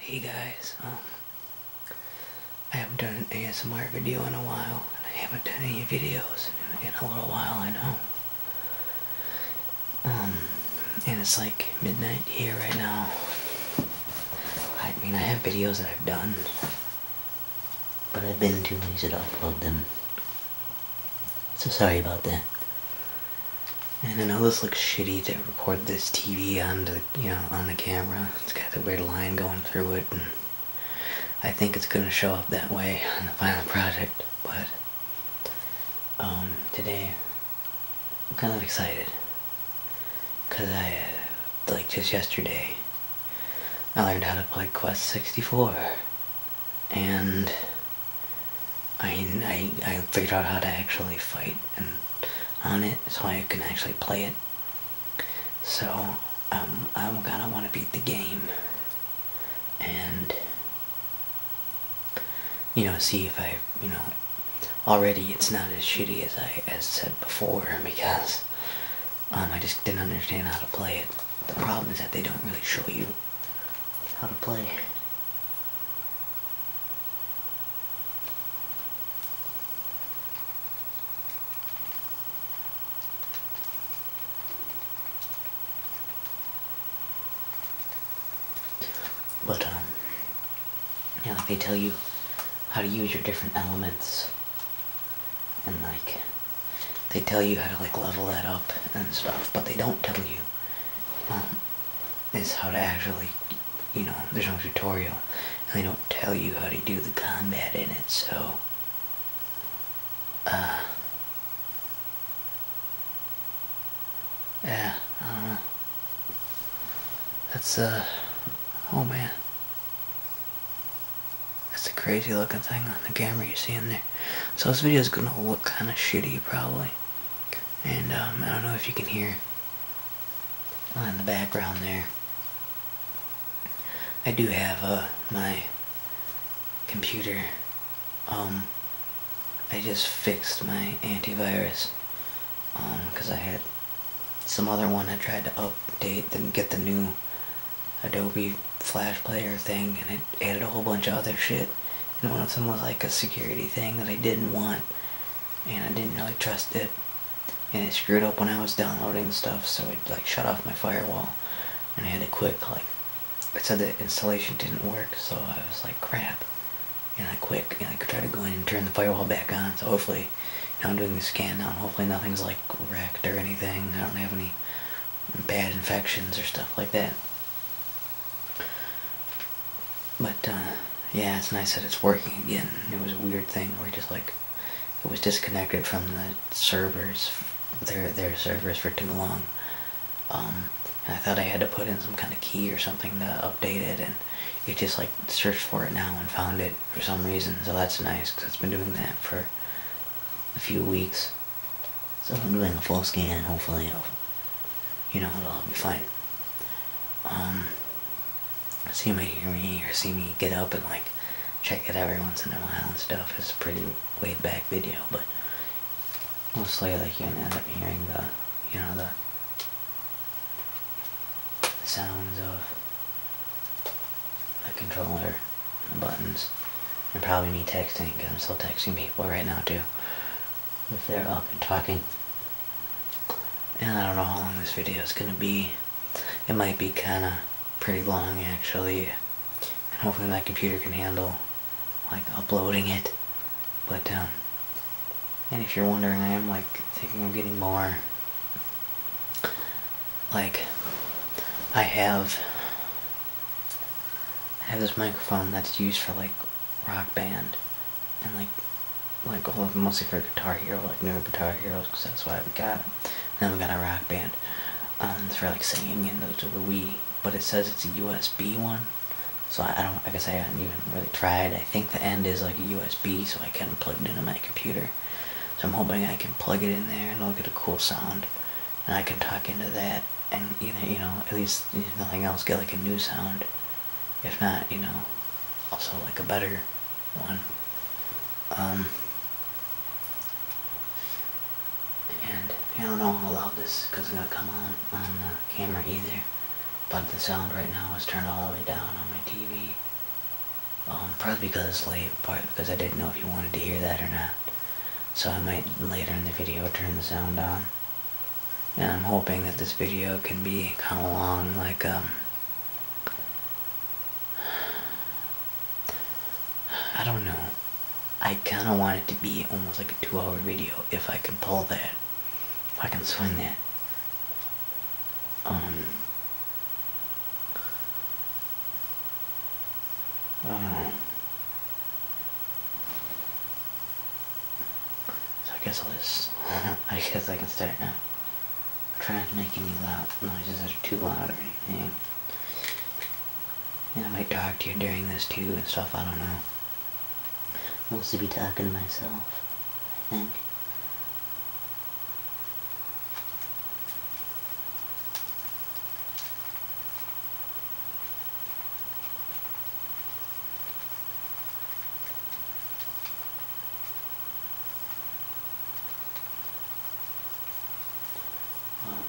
Hey guys, um, I haven't done an ASMR video in a while, I haven't done any videos in, in a little while, I know. Um, and it's like midnight here right now. I mean, I have videos that I've done, but I've been too lazy to upload them. So sorry about that. And I know this looks shitty to record this TV on the, you know, on the camera. It's got the weird line going through it, and I think it's gonna show up that way on the final project. But um, today, I'm kind of excited. Because I, like just yesterday, I learned how to play Quest 64. And I, I, figured out how to actually fight and on it so I can actually play it. So um, I'm gonna want to beat the game and you know see if I you know already it's not as shitty as I as said before because um, I just didn't understand how to play it. The problem is that they don't really show you how to play. But um and like they tell you how to use your different elements and like they tell you how to like level that up and stuff but they don't tell you um, is how to actually you know there's no tutorial and they don't tell you how to do the combat in it so uh yeah I that's a, uh, oh man that's a crazy looking thing on the camera you see in there. So this video is going to look kind of shitty probably. And um, I don't know if you can hear in the background there. I do have uh, my computer. Um, I just fixed my antivirus because um, I had some other one I tried to update then get the new Adobe Flash Player thing and it added a whole bunch of other shit and one of them was like a security thing that I didn't want and I didn't really trust it and it screwed up when I was downloading stuff so it like shut off my firewall and I had to quick like it said the installation didn't work so I was like crap and I quick and I could try to go in and turn the firewall back on so hopefully you I'm doing the scan now, hopefully nothing's like wrecked or anything. I don't have any bad infections or stuff like that. But uh, yeah, it's nice that it's working again. It was a weird thing where just like it was disconnected from the servers, their their servers for too long. Um, and I thought I had to put in some kind of key or something to update it, and it just like searched for it now and found it for some reason, so that's nice because it's been doing that for a few weeks. So I'm doing a full scan, hopefully you know, it'll all be fine. Um, so you may hear me or see me get up and like check it every once in a while and stuff. It's a pretty laid back video, but mostly like you're gonna end up hearing the, you know, the sounds of the controller, the buttons, and probably me texting because I'm still texting people right now too. If they're up and talking. And I don't know how long this video is going to be. It might be kind of pretty long actually. And hopefully my computer can handle like uploading it. But um, and if you're wondering, I am like thinking of getting more like I have I have this microphone that's used for like rock band and like like all of mostly for Guitar Hero, like newer Guitar Heroes, because that's why we got it. And then we got a rock band. Um, it's for like singing and those are the Wii, but it says it's a USB one, so I, I don't. I guess I haven't even really tried. I think the end is like a USB, so I can plug it into my computer. So I'm hoping I can plug it in there and I'll get a cool sound. And I can tuck into that and either, you know, at least nothing else, get like a new sound. If not, you know, also like a better one. Um, and I don't know how loud this because it's not coming on on the camera either. But the sound right now is turned all the way down on my TV probably because it's late, part because I didn't know if you wanted to hear that or not. So I might later in the video turn the sound on. And I'm hoping that this video can be kind of long, like, um, I don't know. I kind of want it to be almost like a two hour video if I can pull that. If I can swing that. Um, I don't know. So I guess I'll just, I guess I can start now. I'm trying to make any loud noises that are too loud or anything. And I might talk to you during this too and stuff, I don't know. Mostly be talking to myself, I think.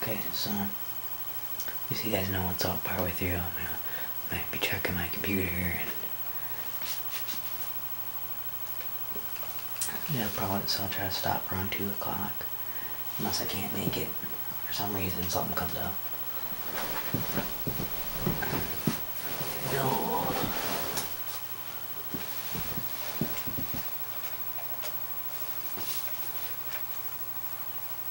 Okay, so as you guys know, it's all partway through. I'm gonna might be checking my computer and yeah, probably so I'll try to stop around 2 o'clock. Unless I can't make it. For some reason, something comes up. No.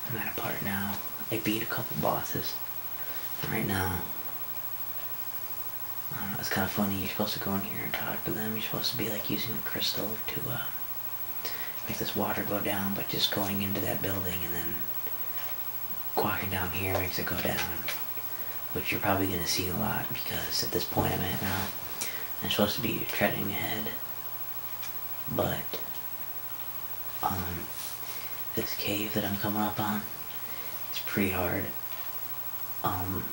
I'm at a part now. I beat a couple bosses. Right now, it's kind of funny. You're supposed to go in here and talk to them. You're supposed to be like using a crystal to uh, make this water go down, but just going into that building and then walking down here makes it go down. Which you're probably going to see a lot because at this point I'm at now, I'm supposed to be treading ahead. But, um, this cave that I'm coming up on, it's pretty hard. Um,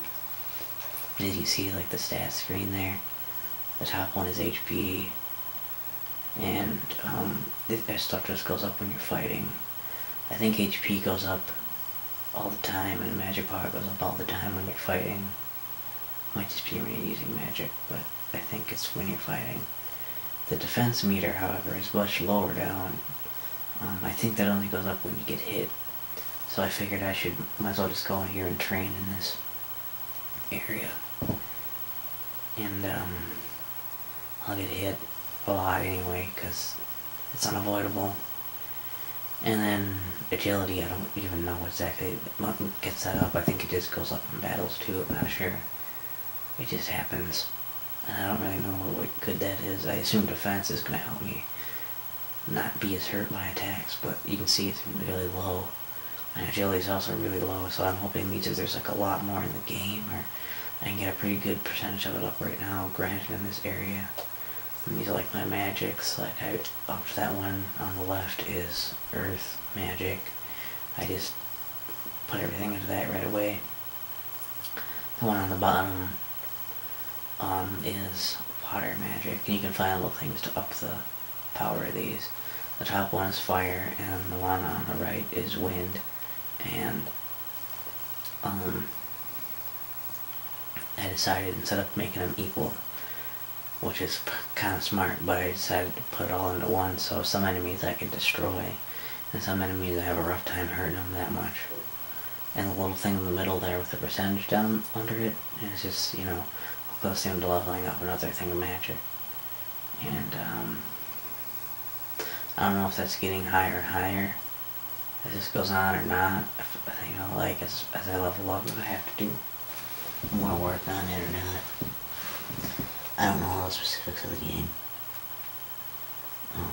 as you see, like the stats screen there, the top one is HP, and um, this stuff just goes up when you're fighting. I think HP goes up all the time, and magic power goes up all the time when you're fighting. Might just be when using magic, but I think it's when you're fighting. The defense meter, however, is much lower down, um, I think that only goes up when you get hit. So I figured I should might as well just go in here and train in this area. And um, I'll get hit a lot anyway because it's unavoidable. And then agility, I don't even know exactly what gets that up. I think it just goes up in battles too, I'm not sure. It just happens. I don't really know what good that is. I assume defense is going to help me not be as hurt by attacks, but you can see it's really low. My agility is also really low, so I'm hoping either there's like a lot more in the game, or I can get a pretty good percentage of it up right now, granted in this area. I'm using like my magics, like I up that one on the left is earth magic. I just put everything into that right away. The one on the bottom um, is water magic, you can find little things to up the power of these. The top one is fire, and the one on the right is wind, and um, I decided instead of making them equal, which is kind of smart, but I decided to put it all into one, so some enemies I can destroy, and some enemies I have a rough time hurting them that much and the little thing in the middle there with the percentage down under it is just, you know, close to leveling up another thing of magic. And, um, I don't know if that's getting higher and higher as this goes on or not. If, you know, like, as, I level up, if I have to do more work on it or not. I don't know all the specifics of the game. Um,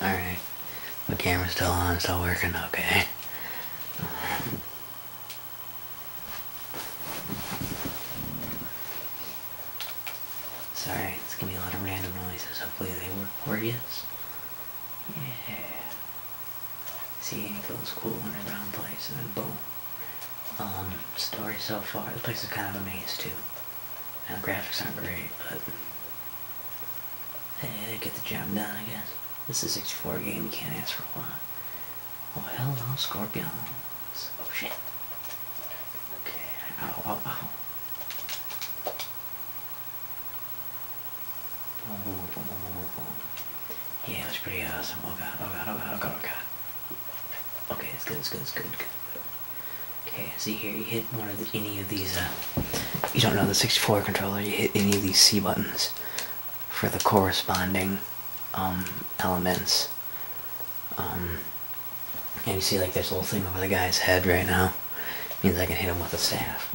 Alright. The camera's still on, still working okay. Sorry, it's gonna be a lot of random noises. Hopefully they work for you. Yeah. See, it goes cool in a round place, and then boom. Um, story so far. The place is kind of a maze, too. Now, the graphics aren't great, but... Hey, get the job done, I guess. This is a 64 game, you can't ask for a lot. Oh, hello, Scorpions. Oh, shit. Okay, ow, ow, ow. Yeah, that's pretty awesome. Oh god, oh god, oh god, oh god, oh god. Okay, it's good, it's good, it's good, good. Okay, see here, you hit one of the, any of these, uh, you don't know the 64 controller, you hit any of these C buttons for the corresponding um, elements. Um, and you see like this little thing over the guy's head right now. It means I can hit him with a staff.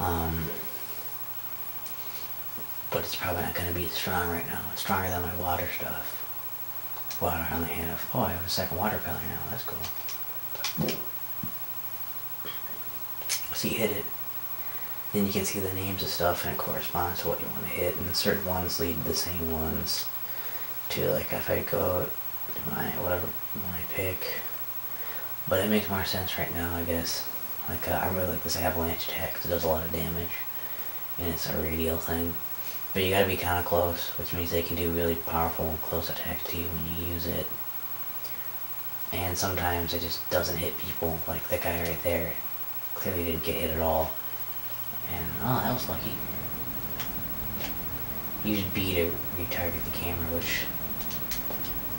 Um, but it's probably not going to be as strong right now. It's stronger than my water stuff. Water I only have. Oh, I have a second water pellet now. That's cool. So you hit it. Then you can see the names of stuff and it corresponds to what you want to hit. And certain ones lead to the same ones. To like if I go to my whatever one I pick. But it makes more sense right now, I guess. Like, uh, I really like this avalanche attack because it does a lot of damage. And it's a radial thing. But you gotta be kind of close, which means they can do really powerful close attacks to you when you use it. And sometimes it just doesn't hit people, like the guy right there. Clearly didn't get hit at all. And, oh, that was lucky. Use B to retarget the camera, which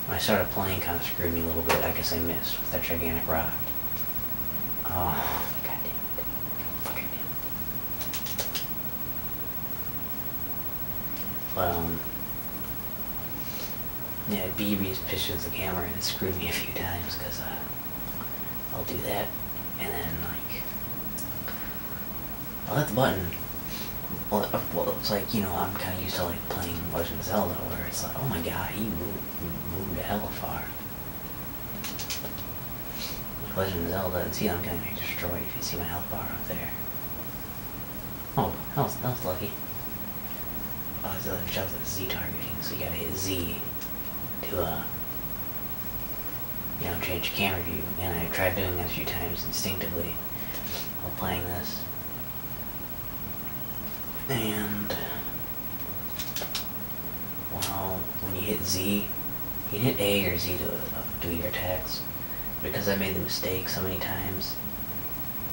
I started playing kind of screwed me a little bit. I guess I missed with that gigantic rock. Oh, god it. God it. But, um, yeah, BB's pitches the camera and it screwed me a few times because uh, I'll do that and then, like, I'll hit the button. Well, uh, well it's like, you know, I'm kind of used to, like, playing Legend of Zelda, where it's like, oh my god, he moved, he moved hell far. Legend of Zelda, and see, I'm getting destroyed if you see my health bar up there. Oh, that was, that was lucky. Oh, it's other jobs like Z targeting, so you gotta hit Z to, uh, you know, change camera view. And I tried doing that a few times instinctively while playing this. And well, when you hit Z, you hit A or Z to uh, do your attacks. Because I made the mistake so many times,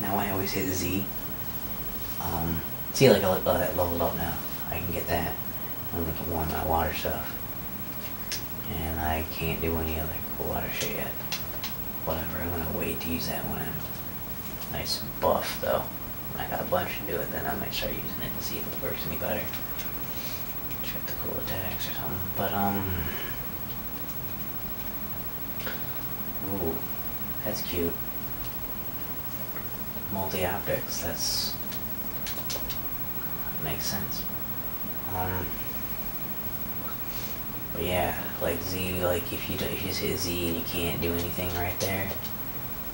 now I always hit Z. Um, see, like I uh, leveled up now. I can get that. I'm going one. warm my water stuff. And I can't do any other cool water shit yet. Whatever, I'm gonna wait to use that one nice buff though. When I got a bunch to do it, then I might start using it and see if it works any better. Check the cool attacks or something. But um Ooh, that's cute. Multi optics, that's makes sense. Um but yeah, like Z, like if you if you just hit Z and you can't do anything right there,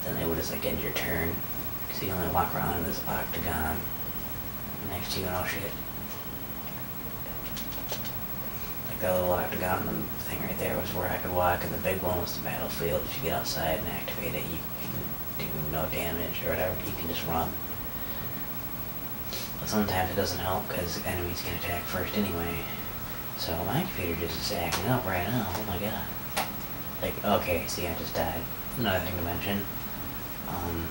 then they would just like end your turn, because you only walk around in this octagon next to you and all shit. Like that little octagon thing right there was where I could walk, and the big one was the battlefield. If you get outside and activate it, you can do no damage or whatever. You can just run. But sometimes it doesn't help because enemies can attack first anyway. So my computer just is acting up right now. Oh my god. Like, okay, see, I just died. Another thing to mention. Um,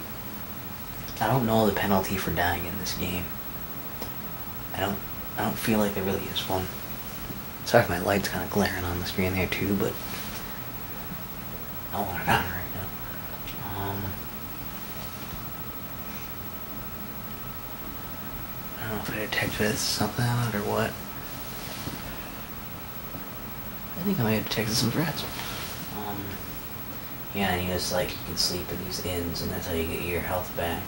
I don't know the penalty for dying in this game. I don't. I don't feel like there really is one. Sorry if my light's kind of glaring on the screen there too, but I want it on right now. Um, I don't know if I detected something or what. I think I might have detected some rats. Um, yeah, and he like, you can sleep in these inns, and that's how you get your health back.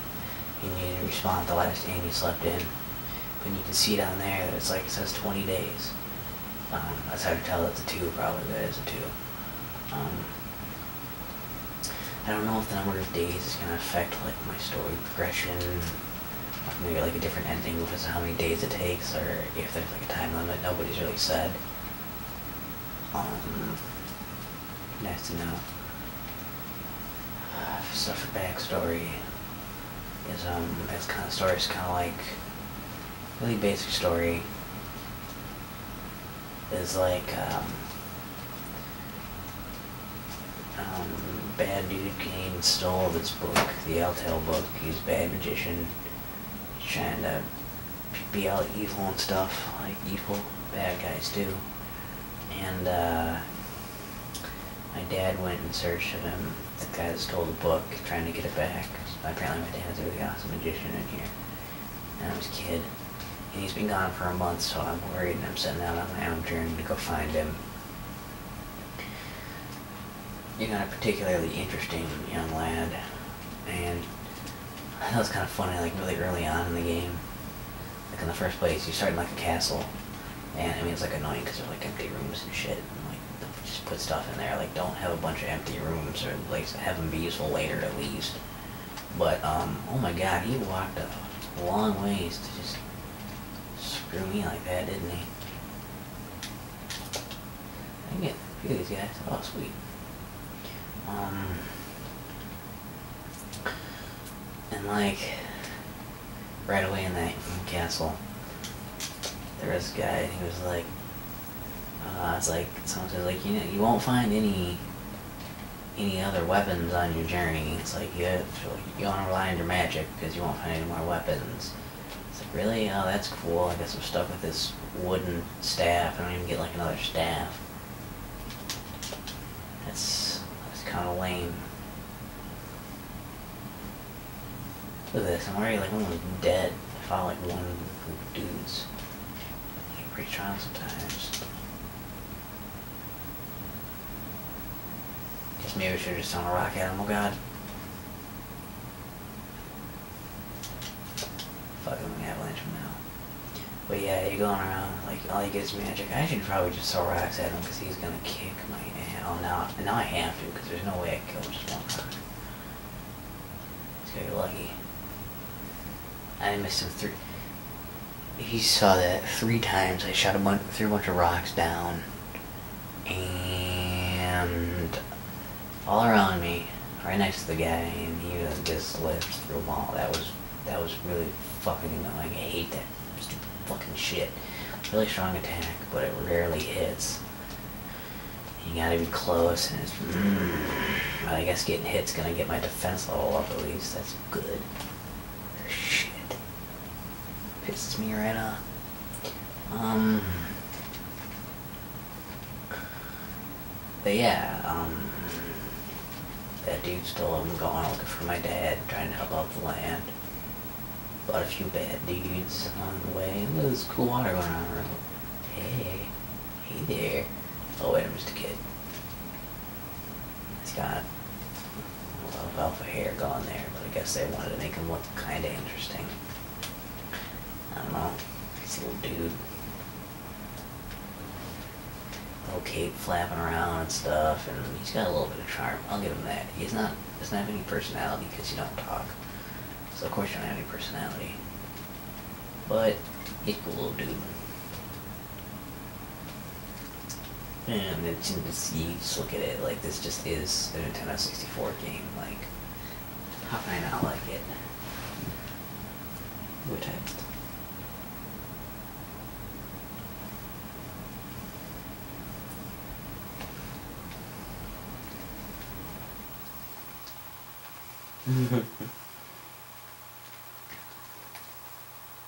you need to respond to the last day you slept in. But you can see down there that it's like, it says 20 days. Um, that's how you tell it's a 2, probably, that is a 2. Um, I don't know if the number of days is going to affect like my story progression, or maybe like a different ending because of how many days it takes, or if there's like a time limit. Nobody's really said. Um, nice to know. Uh, for backstory, is um, it's kind of story is kind of like really basic story is like um, um, bad dude Kane stole this book, the Altail book. He's bad magician. He's trying to be all evil and stuff, like evil bad guys do. And uh, my dad went in search of him. The guy that stole the book, trying to get it back. Apparently, my dad's a really awesome magician in here. And I was a kid. And he's been gone for a month, so I'm worried and I'm setting out on my own journey to go find him. you know, a particularly interesting young lad, and that was kind of funny, like really early on in the game. Like in the first place, you start in like a castle, and I mean it's like annoying because there's like empty rooms and shit. And, like just put stuff in there. Like don't have a bunch of empty rooms, or like have them be useful later at least. But, um, oh my god, he walked a long ways to just screw me like that, didn't he? I can get a few of these guys. Oh, sweet. Um, and like, right away in that castle, there was a guy, and he was like, uh, "I was like, someone says, like, you know, you won't find any any other weapons on your journey. It's like you have to, you want to rely on your magic because you won't find any more weapons. It's like really, oh that's cool. I got some stuff with this wooden staff. I don't even get like another staff. That's that's kind of lame. Look at this. I'm already like almost dead. I fought like one of the dudes. I get pretty sometimes. Guess maybe we should have just done a rock animal god. Fucking avalanche from now. But yeah, you're going around, like, all you get is magic. I should probably just throw rocks at him because he's gonna kick my ass. Oh, no, now I have to because there's no way I kill him just one rock. He's gonna be lucky. I missed him three he saw that three times. I shot a bunch, threw a bunch of rocks down, and all around me, right next to the guy, and he just lived through them That was that was really fucking annoying. I hate that stupid fucking shit. Really strong attack, but it rarely hits. You gotta be close, and mm, I guess getting hit's gonna get my defense level up at least. That's good. Shit. Pisses me right off. Um, but yeah, um, That dude's still I'm going looking for my dad, trying to help out the land. Bought a few bad dudes on the way. Look at this cool water going on. Hey. Hey there. Oh, wait, I'm just a kid. He's got a lot of alpha hair going there, but I guess they wanted to make him look kind of interesting. I don't know. This little dude. Little cape flapping around and stuff, and he's got a little bit of charm. I'll give him that. He's not doesn't have any personality because he don't talk. So of course you don't have any personality. But he's a cool little dude. And it's, just look at it like this just is a Nintendo 64 game. Like, how can I not like it? No text.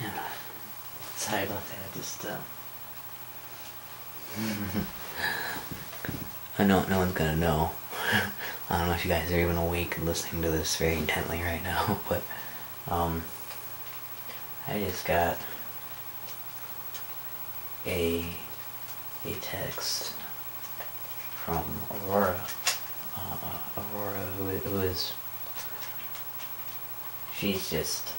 Yeah. Sorry about that. I just, uh. I know no one's gonna know. I don't know if you guys are even awake and listening to this very intently right now, but, um. I just got a a text from Aurora. Uh, uh, Aurora, who is she's just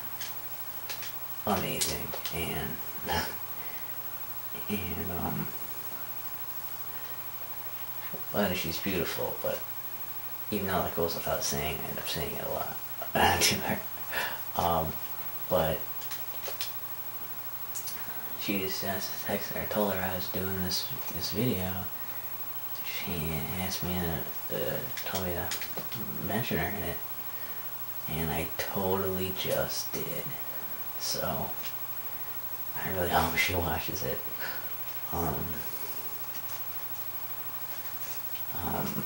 amazing and and um and she's beautiful but even though that goes without saying I end up saying it a lot to um, but she just asked uh, text her I told her I was doing this this video she asked me and uh, told me to mention her in it, and I totally just did. So I really hope she watches it. Um, um,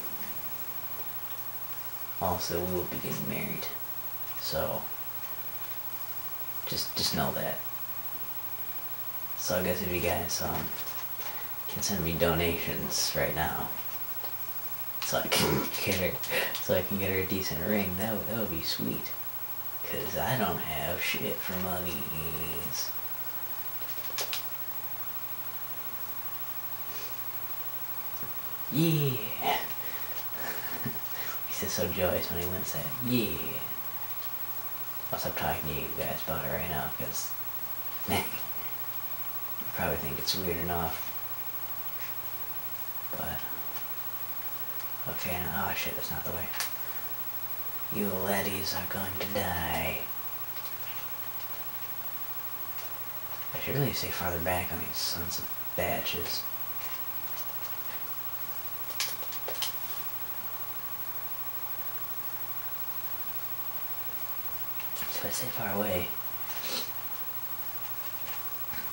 also, we will be getting married, so just just know that. So I guess if you guys um, can send me donations right now, so I can get her, so I can get her a decent ring, that would, that would be sweet. Cause I don't have shit for monies. Yeah. He's just so joyous when he wins that. Yeah. I'll talking to you guys about it right now because you probably think it's weird enough. But, okay, oh shit, that's not the way. You laddies are going to die. I should really stay farther back on these sons of batches. So I stay far away.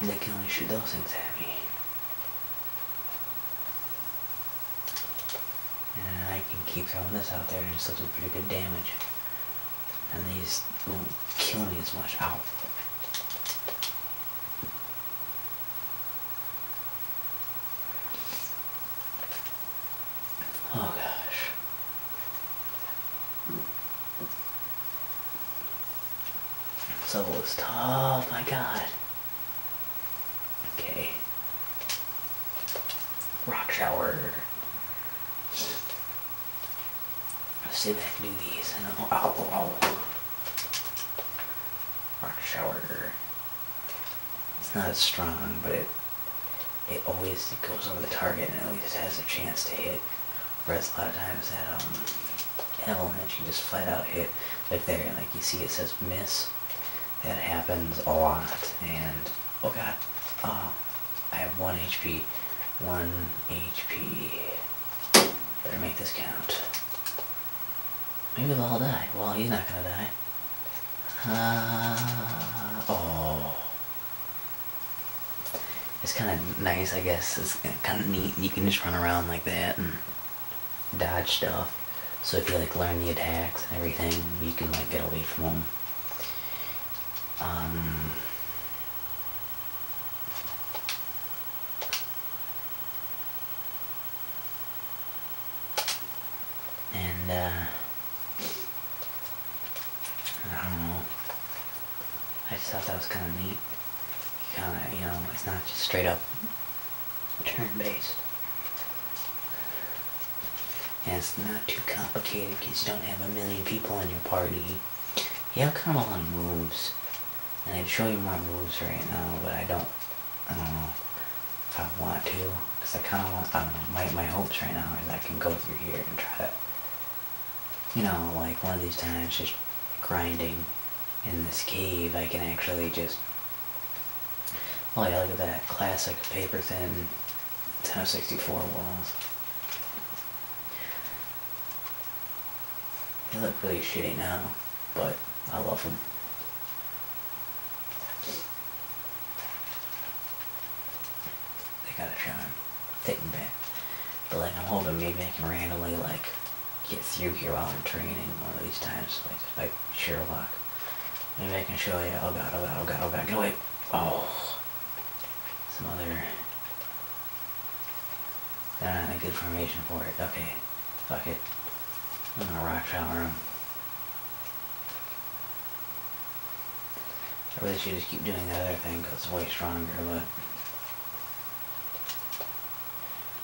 They can only shoot those things at me. And I can keep throwing this out there and still do pretty good damage. And these won't kill me as much. Ow. Oh gosh. So level is tough, my god. Okay. Rock shower. Let's see if I can do these. Rock shower. It's not as strong, but it it always goes over the target and it always has a chance to hit. Whereas a lot of times that element um, avalanche, you just flat out hit. Like there, like you see it says miss. That happens a lot. And, oh god, uh, I have 1 HP. 1 HP. Better make this count. Maybe they'll all die. Well, he's not gonna die. Uh, oh. It's kind of nice, I guess. It's kind of neat. You can just run around like that and dodge stuff. So if you like learn the attacks and everything, you can like get away from them. Um, and uh, I don't know. I just thought that was kind of neat. Kind of, you know, it's not just straight up turn-based. And it's not too complicated because you don't have a million people in your party. You have kind of a lot of moves. And I'd show you my moves right now, but I don't, I don't know if I want to, because I kind of want, I don't know, my, my hopes right now is I can go through here and try to, you know, like one of these times just grinding in this cave, I can actually just, oh yeah, look at that classic paper thin sixty-four walls. They look really shitty now, but I love them. They gotta show and take me back. But like I'm hoping maybe I can randomly like get through here while I'm training one of these times, like like luck. Maybe I can show you. Oh god! Oh god! Oh god! Oh god! Get wait. Oh, some other. Not uh, a good formation for it. Okay, fuck it. I'm gonna rock shower him. I really should just keep doing the other thing because it's way stronger, but...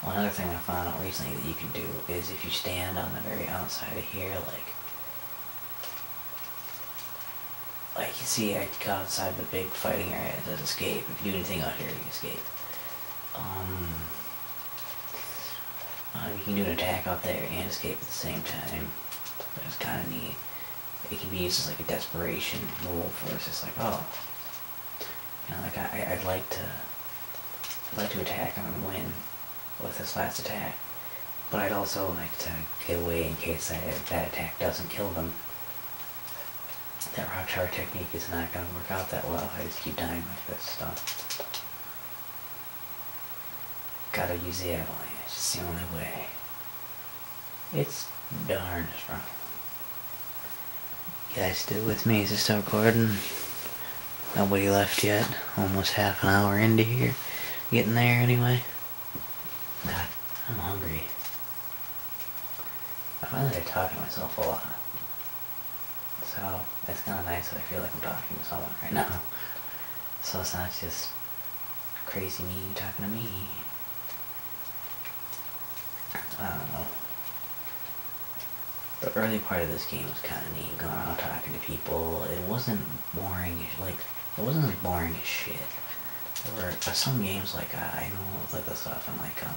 One other thing I found out recently that you can do is if you stand on the very outside of here, like... Like, you see, I got outside the big fighting area, it does escape. If you do anything out here, you escape. Um... Uh, you can do an attack out there and escape at the same time. But it's kind of neat. It can be used as like a desperation move for us. It's like, oh, you know, like I, would like to, like to attack and win with this last attack, but I'd also like to get away in case I, that attack doesn't kill them. That rock char technique is not going to work out that well. I just keep dying like this. stuff. Gotta use the avalanche. It's the only way. It's darned strong. You guys still with me? Is it still recording? Nobody left yet. Almost half an hour into here. Getting there anyway. God, I'm hungry. I find that I talk to myself a lot. So, it's kind of nice that I feel like I'm talking to someone right now. So it's not just Crazy me talking to me. I don't know. The early part of this game was kind of neat, going around talking to people. It wasn't boring, like, it wasn't as boring as shit. There were uh, some games, like, uh, I know, like the stuff, and like, um,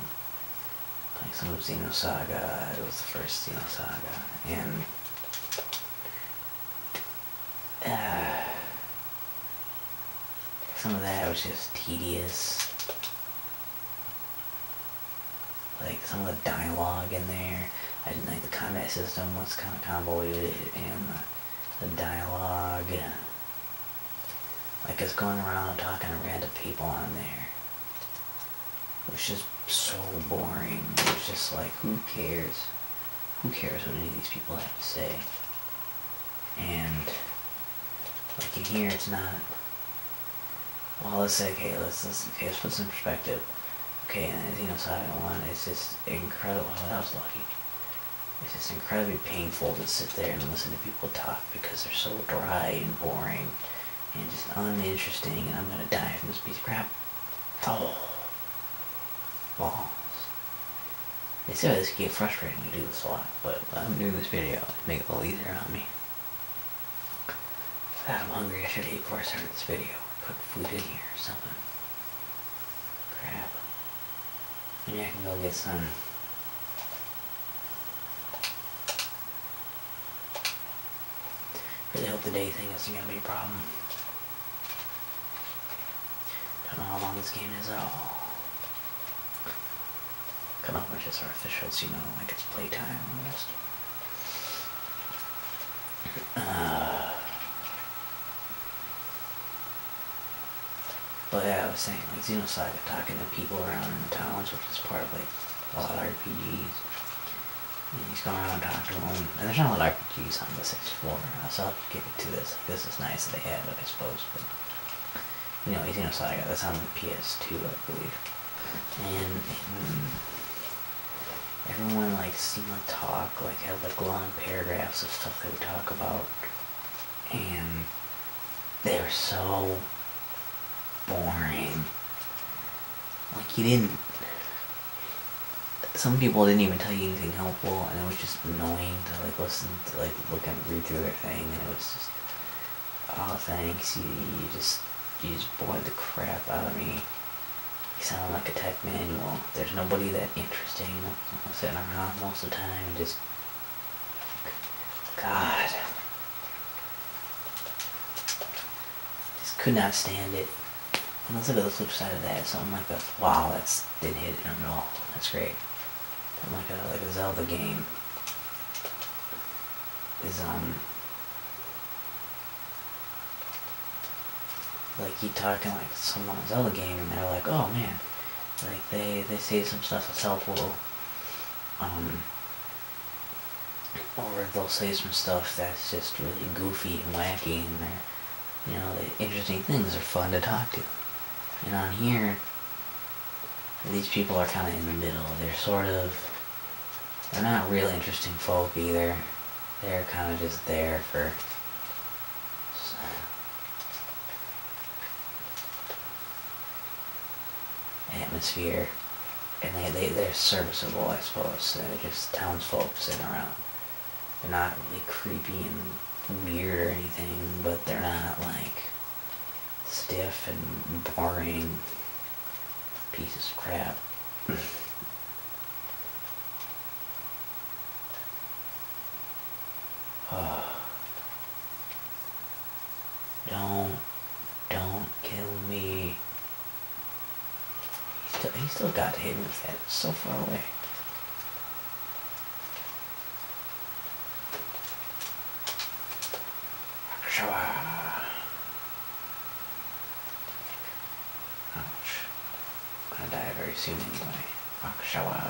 like some of Xenosaga, it was the first Xenosaga, and some of that was just tedious. Like some of the dialogue in there. I didn't like the combat system was kind of convoluted and the, dialogue. Like it's going around and talking to random people on there. It was just so boring. It was just like, who cares? who cares what any of these people have to say? And like in here, it's not. Well, let's say okay, let's let's okay, let's put some perspective. Okay, and you know, side one, it's just incredible. I was lucky. It's just incredibly painful to sit there and listen to people talk because they're so dry and boring and just uninteresting. And I'm gonna die from this piece of crap. Oh balls. They said this frustrating to do this a lot, but I'm doing this video to make it a little easier on me. I'm hungry. I should eat before I started this video. Put food in here or something. Crap. Maybe I can go get some really hope the day thing isn't going to be a problem. Don't know how long this game is Oh, Come on, which is artificial, so you know, like it's playtime almost. Uh, but yeah, I was saying, like, Xenosaga talking to people around in the towns, which is part of, like, a lot of RPGs he's going around talking to him. And there's not a lot of RPGs on the 64, so I'll give it to this. This is nice that they have it, I suppose. But, you know, he's you know, so I got this on the PS2, I believe. And, and hmm, everyone, like, seemed to talk, like, have like, long paragraphs of stuff they would talk about. And they are so boring. Like, he didn't some people didn't even tell you anything helpful, and it was just annoying to like listen to like look at read through their thing, and it was just oh thanks you you just you just bored the crap out of me. It sounded like a tech manual. There's nobody that interesting I'm sitting around most of the time, just God. Just could not stand it. And let's look at the flip side of that. Something like a uh, wow, that's didn't hit it at all. That's great. Something like a uh, like a Zelda game is um like you talking like someone Zelda game and they're like, oh man, like they they say some stuff that's helpful, um, or they'll say some stuff that's just really goofy and wacky and they're you know, the interesting things are fun to talk to. And on here, these people are kind of in the middle. They're sort of, they're not real interesting folk either. They're kind of just there for uh, atmosphere. And they, they, they're serviceable, I suppose. just townsfolk sitting around. They're not really creepy and weird or anything, but they're not like stiff and boring pieces of crap. Don't, don't kill me he still got him. He's that so far away. Akshava. Ouch. I'm going die very soon anyway. Akshava.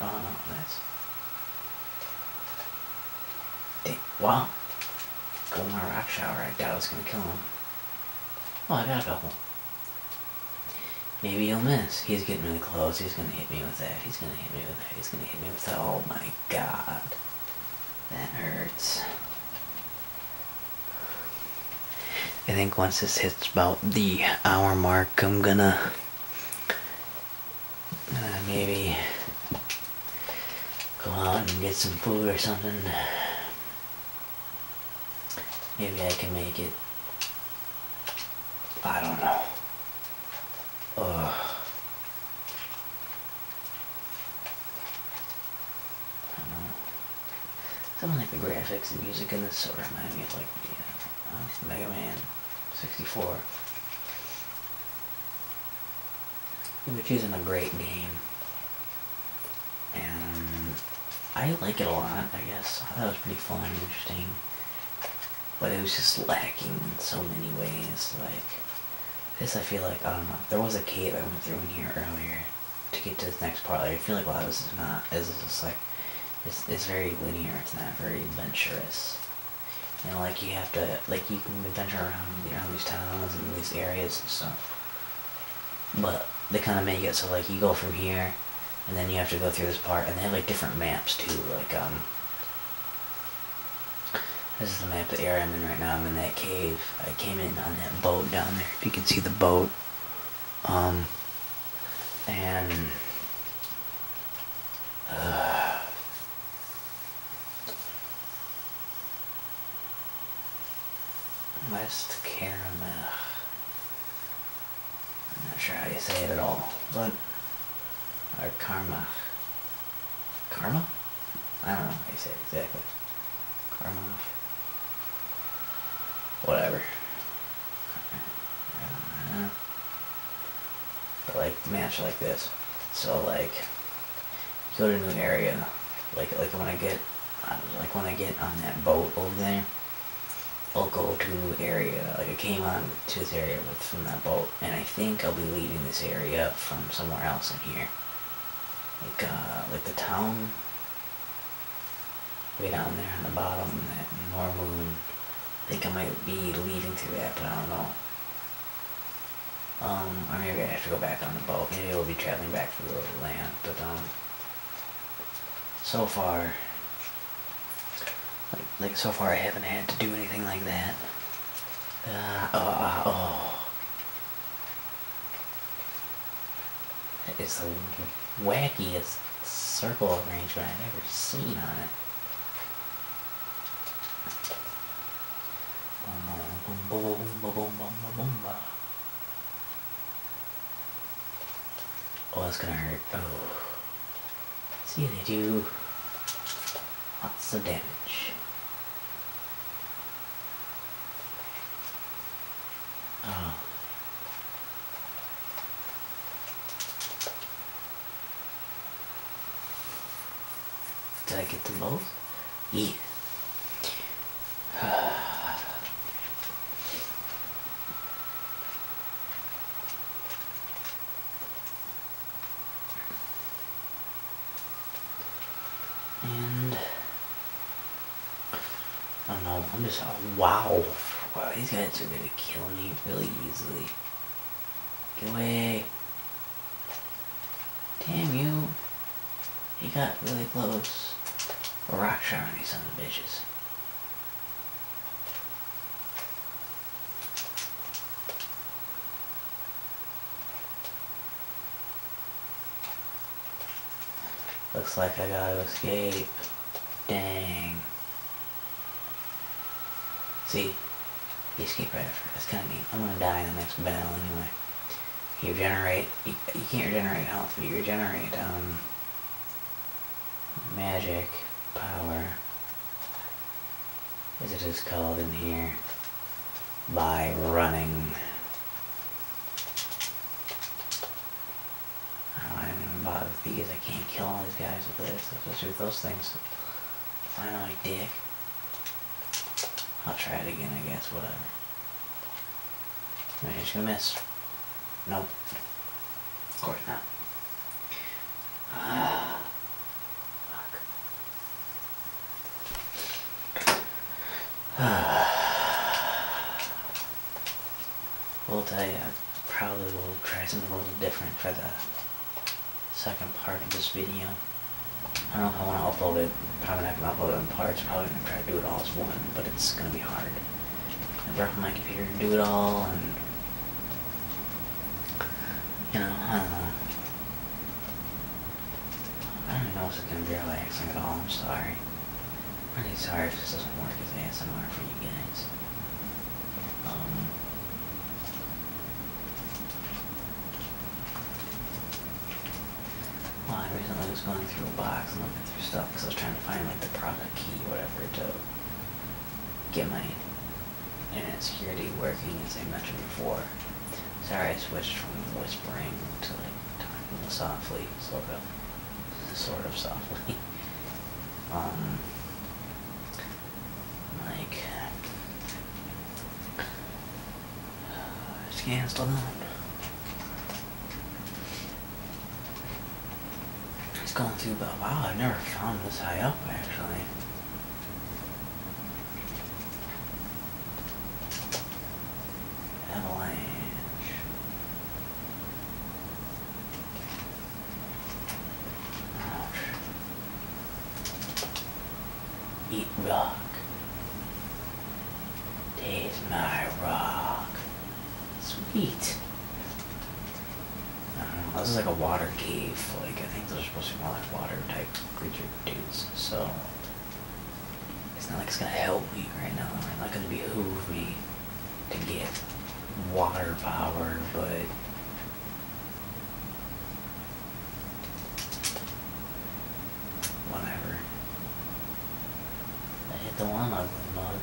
Oh no, that's. Dang. Wow. Golmar Rakshava, I doubt it's gonna kill him. Oh, I got a couple. Maybe he'll miss. He's getting really close. He's going to hit me with that. He's going to hit me with that. He's going to hit me with that. Oh my god. That hurts. I think once this hits about the hour mark, I'm gonna uh, maybe go out and get some food or something. Maybe I can make it. I don't know. Ugh. I don't know. Something like the graphics and music in this sort of remind me of like Mega Man 64, which isn't a great game and I like it a lot, I guess. I thought it was pretty fun and interesting, but it was just lacking in so many ways. Like, this I feel like, I don't know, there was a cave I went through in here earlier to get to this next part. Like, I feel like a this is not, this is like, it's, it's very linear, it's not very adventurous. You know, like you have to, like you can adventure around, around these towns and these areas and stuff. But they kind of make it so like you go from here, and then you have to go through this part, and they have like different maps too. Like um, this is the map of the area I'm in right now. I'm in that cave. I came in on that boat down there. If you can see the boat, um, and. Uh, West Caramel. I'm not sure how you say it at all, but our karma. Karma? I don't know how you say it exactly. Karma. Whatever. But like match like this. So like you go to a new area. Like like when I get like when I get on that boat over there I'll go to area, like I came on to this area with, from that boat, and I think I'll be leaving this area from somewhere else in here. Like, uh, like the town, way down there on the bottom, that Norwood, I think I might be leaving to that, but I don't know. Um, I maybe I have to go back on the boat, maybe I'll be traveling back to the land, but, um, so far, like, like so far I haven't had to do anything like that. Uh, oh, uh, oh. That is the wackiest circle arrangement I've ever seen on it. Boom, boom, boom, boom, boom, boom, boom, boom. Oh, that's gonna hurt. Oh. See, they do lots of damage. Um. Did I get the both? Yeah. And I don't know, I'm just wow. Wow, these guys are gonna kill me really easily. Get away. Damn you. He got really close. Rock shiny some of bitches. Looks like I gotta escape. Dang. See? You escape right after. That's kinda neat. I'm gonna die in the next battle anyway. You regenerate. You, can't regenerate health, but you regenerate, um magic power, as it is called in here, by running. I don't even bother with these. I can't kill all these guys with this, especially with those things. I know I dick. I'll try it again, I guess, whatever. Maybe he's gonna miss. Nope. Of course not. Ah, fuck. We'll tell you, Probably probably will try something a little different for the second part of this video. I don't know if I want to upload it. Probably not going to upload it parts. Probably going to try to do it all as one, but it's going to be hard. I brought my computer to do it all, and you know, I don't know. I don't know if it's gonna be relaxing at all. I'm sorry. I'm really sorry if this doesn't work as ASMR for you guys. Um, well, I recently was going through a box and looking through stuff because I was trying to find like the product key, whatever, to get my internet security working as I mentioned before. Sorry I switched from whispering to like talking softly, sort of sort of softly. Um, like uh, it's canceled it's going through, but wow, I've never found this high up actually. Avalanche. Ouch. Eat rock. Taste my rock. Sweet. Uh-huh. this is like a water cave. Like, I think those are supposed to be more like water type creature dudes, so. It's not like it's gonna help me right now. It's not gonna behoove me to get water power, but. Whatever. I hit the one I would bug.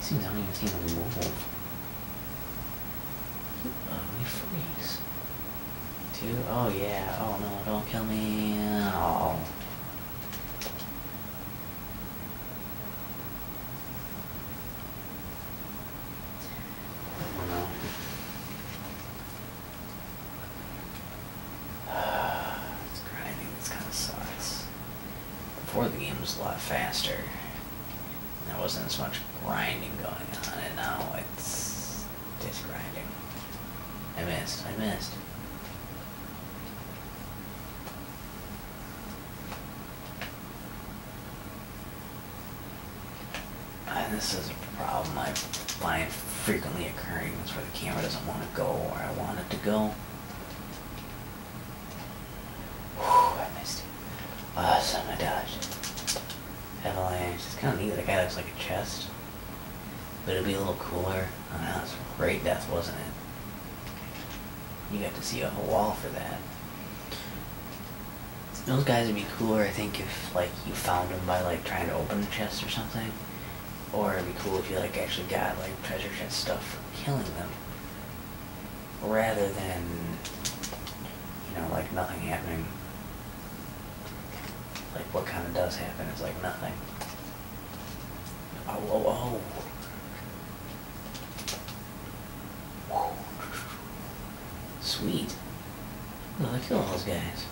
Seems I don't even see move. You uh, ugly freeze. Two? Oh yeah. Oh no, don't kill me. Oh. It's grinding. This kind of sucks. Before the game was a lot faster. There wasn't as much grinding going on, and now it's just grinding. I missed, I missed. this is a problem I find frequently occurring. It's where the camera doesn't want to go where I want it to go. Whew, I missed it. Oh, awesome, I dodged. Avalanche. It's kind of neat. That guy looks like a chest. But it'd be a little cooler. I know, great death, wasn't it? You got to see a whole wall for that. Those guys would be cooler, I think, if, like, you found them by, like, trying to open a chest or something. Or it'd be cool if you, like, actually got, like, treasure chest stuff from killing them rather than, you know, like nothing happening. Like what kind of does happen is like nothing. Oh, oh, oh. Whoa. Sweet. Well, I kill all those guys.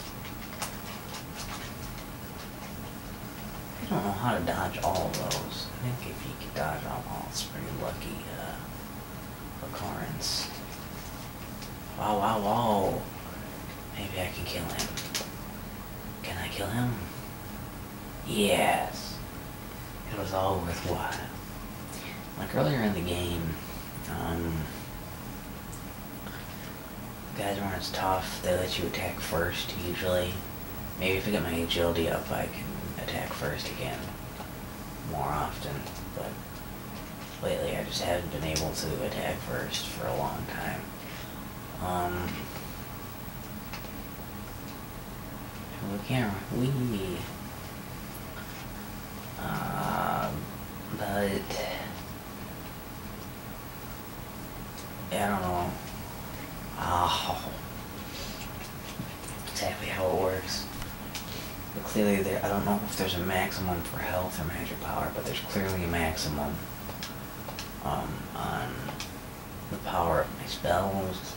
I don't know how to dodge all of those. I think if you can dodge them all, it's pretty lucky uh, occurrence. Wow, wow, wow. Maybe I can kill him. Can I kill him? Yes. It was all worthwhile. Like earlier in the game, um, guys are not tough. They let you attack first, usually. Maybe if I get my agility up, I can attack first again more often, but lately I just haven't been able to attack first for a long time. Um, we can we, um, but, I don't know. Oh, exactly how it works. But clearly, there. I don't know if there's a maximum for health or magic power, but there's clearly a maximum um, on the power of my spells.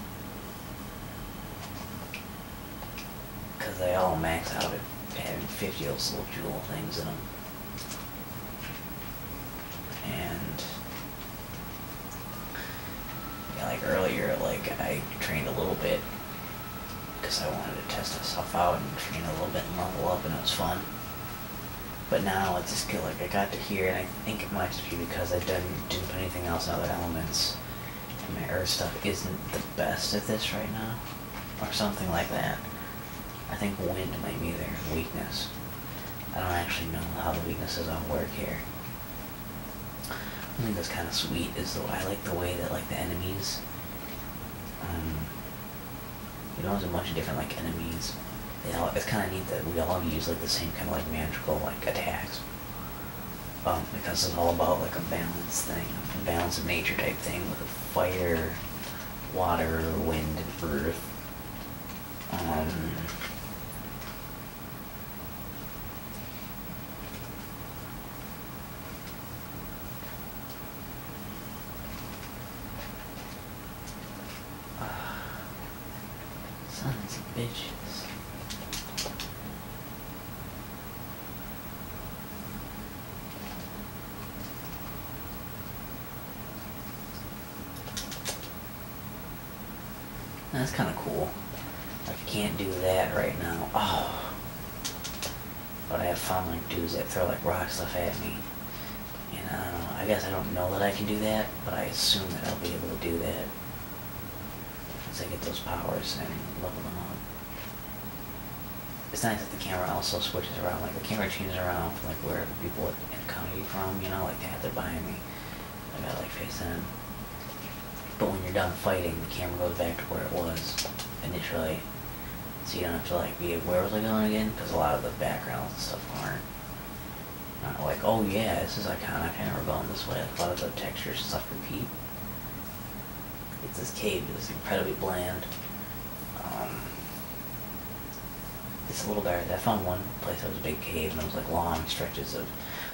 Because they all max out at having 50 of little jewel things in them. And yeah, like earlier, like I trained a little bit because I wanted to test myself out and train a little bit and level up, and it was fun. But now I just feel like I got to here, and I think it might just be because I didn't did put anything else in other elements, my earth stuff isn't the best at this right now, or something like that. I think wind might be their weakness. I don't actually know how the weaknesses all work here. I think that's kind of sweet. Is though I like the way that like the enemies. Um, you know, there's a bunch of different like enemies. You know, it's kind of neat that we all use like the same kind of like magical like attacks. Um, because it's all about like a balance thing, a balance of nature type thing with fire, water, wind, and earth. Um, Sons of bitches. That's kind of cool. I can't do that right now. Oh. But I have fun like dudes that throw like rock stuff at me. And I know. I guess I don't know that I can do that, but I assume that I'll be able to do that. Once I get those powers and level them up. It's nice that the camera also switches around. Like the camera changes around from like where people encounter you from, you know, like they have to buy me. I got like face in. But when you're done fighting, the camera goes back to where it was initially. So you don't have to like be, where was I going again? Because a lot of the backgrounds and stuff aren't. Not like, oh yeah, this is iconic and we're going this way. A lot of the textures stuff repeat. It's this cave that's incredibly bland. Um, it's a little better. I found one place that was a big cave and it was like long stretches of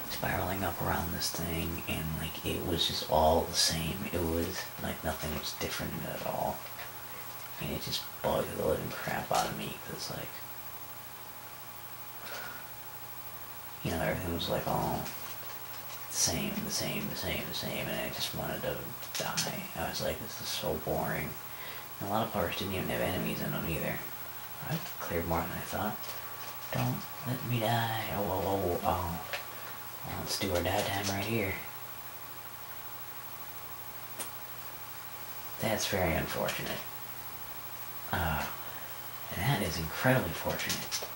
spiraling up around this thing, and like it was just all the same. It was like nothing was different at all. And it just bugged the living crap out of me because, like, you know, everything was like all the same, the same, the same, the same, and I just wanted to die. I was like, this is so boring. And a lot of parts didn't even have enemies in them either. I've cleared Martin. I thought. Don't let me die. Oh, oh, oh, oh. let's do our die time right here. That's very unfortunate. Uh, that is incredibly fortunate.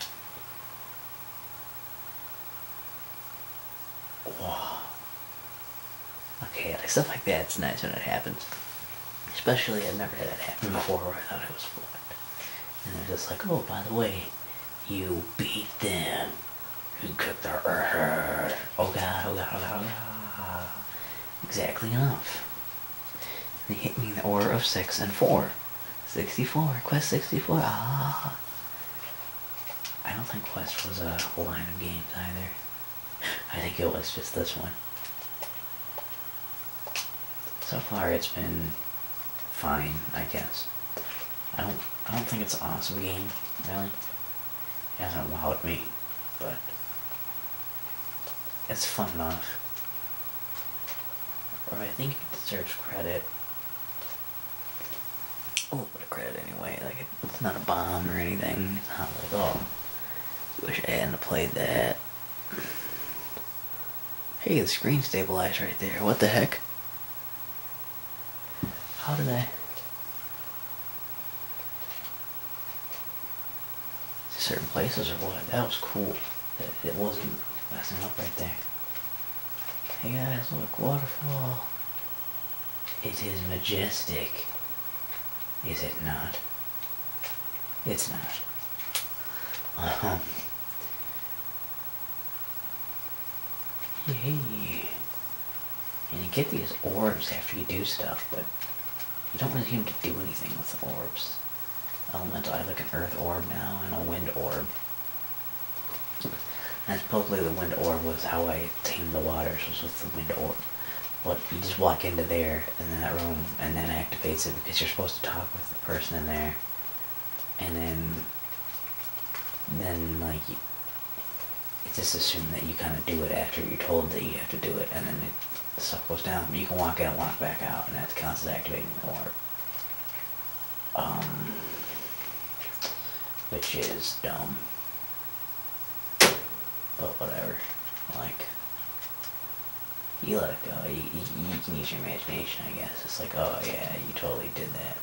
Wow. Okay, like stuff like that's nice when it happens. Especially, I'd never had that happen before I thought it was fluent. And they're just like, oh, by the way, you beat them. You cooked their. Uh, oh, God, oh, God, oh, God, oh, God. Exactly enough. They hit me in the order of 6 and 4. 64, Quest 64, ah. I don't think Quest was a line of games either. I think it was just this one. So far, it's been fine, I guess. I don't, I don't think it's an awesome game, really. It hasn't wowed me, but it's fun enough. Or I think it deserves credit. A little bit of credit anyway. Like it's not a bomb or anything. It's not like oh, wish I hadn't played that. Hey, the screen stabilized right there. What the heck? How did I... Certain places or what? That was cool. it wasn't messing up right there. Hey guys, look, waterfall. It is majestic. Is it not? It's not. huh. Yeah. And you get these orbs after you do stuff, but you don't really seem to do anything with the orbs. Elemental, I look an earth orb now and a wind orb. And supposedly the wind orb was how I tamed the waters, was with the wind orb. But you just walk into there in that room and then activates it because you're supposed to talk with the person in there. And then, then like, you, it's just assumed that you kind of do it after you're told that you have to do it, and then it, the stuff goes down. you can walk in and walk back out, and that counts as activating the warp. Um, which is dumb. But whatever. Like, you let it go. You, you, can use your imagination, I guess. It's like, oh yeah, you totally did that.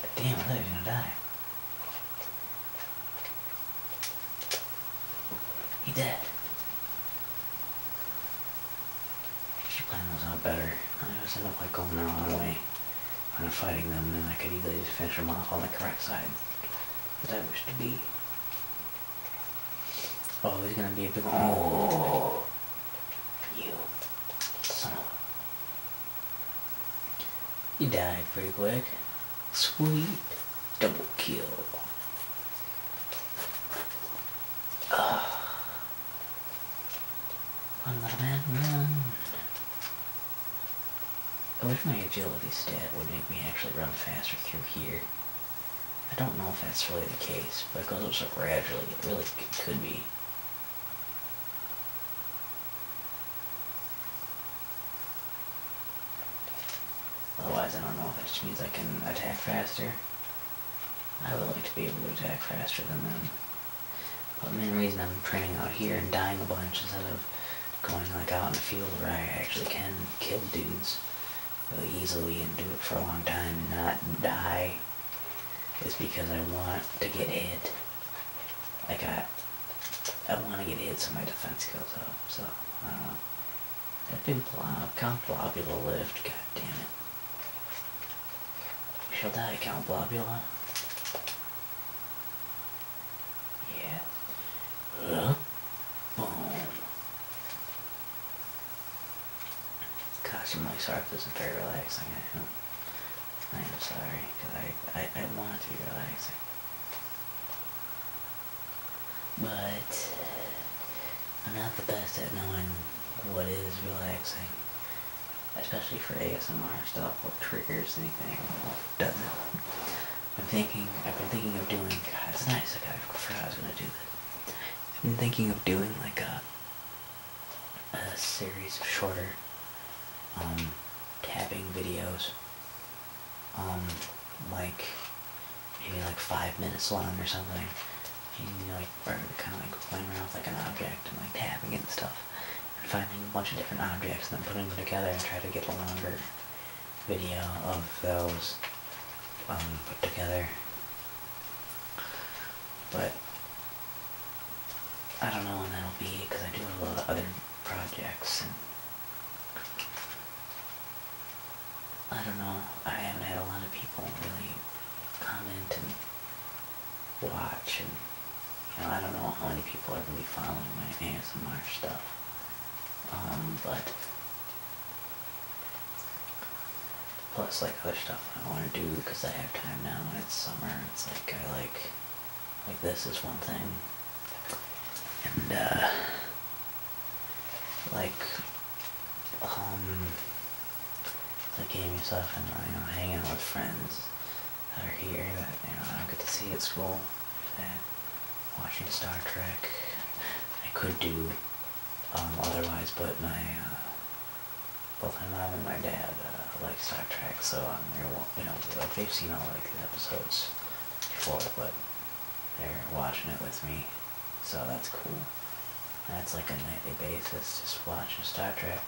But damn, I thought he was gonna die. He dead. She planned those out better. I always end up like going the wrong way when i fighting them, and I could easily just finish them off on the correct side that I wish to be. Oh, he's gonna be a big one. Oh, you son You died pretty quick. Sweet. Double kill. Uh, run, little man, run. I wish my agility stat would make me actually run faster through here. I don't know if that's really the case, but it goes up so gradually, it really could be. Otherwise, I don't know if it just means I can attack faster. I would like to be able to attack faster than them. But the main reason I'm training out here and dying a bunch instead of going like out in the field where I actually can kill dudes really easily and do it for a long time and not die is because I want to get hit. Like I, I want to get hit so my defense goes up. So I don't know. That been blob, Count Blobula lived. God damn it. We shall die, Count Blobula. Yeah. Uh, boom. Gosh, I'm really sorry this is very relaxing. I am, I sorry, because I, I, want to be relaxing. But I'm not the best at knowing what is relaxing. Especially for ASMR stuff, or triggers anything, doesn't. I'm thinking, I've been thinking of doing, God, it's nice, like I forgot I was going to do that. I've been thinking of doing like a, series of shorter, um, tapping videos, um, like, maybe like five minutes long or something. You know, like, kind of like playing around with like an object and like tapping it and stuff. And finding a bunch of different objects and then putting them together and try to get longer video of those um, put together. But I don't know when that'll be because I do a lot of other projects and I don't know. I haven't had a lot of people really comment and watch and you know I don't know how many people are going to be following my ASMR stuff. Um, but Plus, like other stuff I want to do because I have time now and it's summer. It's like I like, like this is one thing, and uh, like, um, like gaming stuff and you know hanging out with friends that are here that you know I don't get to see at school watching Star Trek. I could do um, otherwise, but my uh, both my mom and my dad uh, like Star Trek, so um, you know like they've seen all like the episodes before, but they're watching it with me, so that's cool. That's like a nightly basis, just watching Star Trek.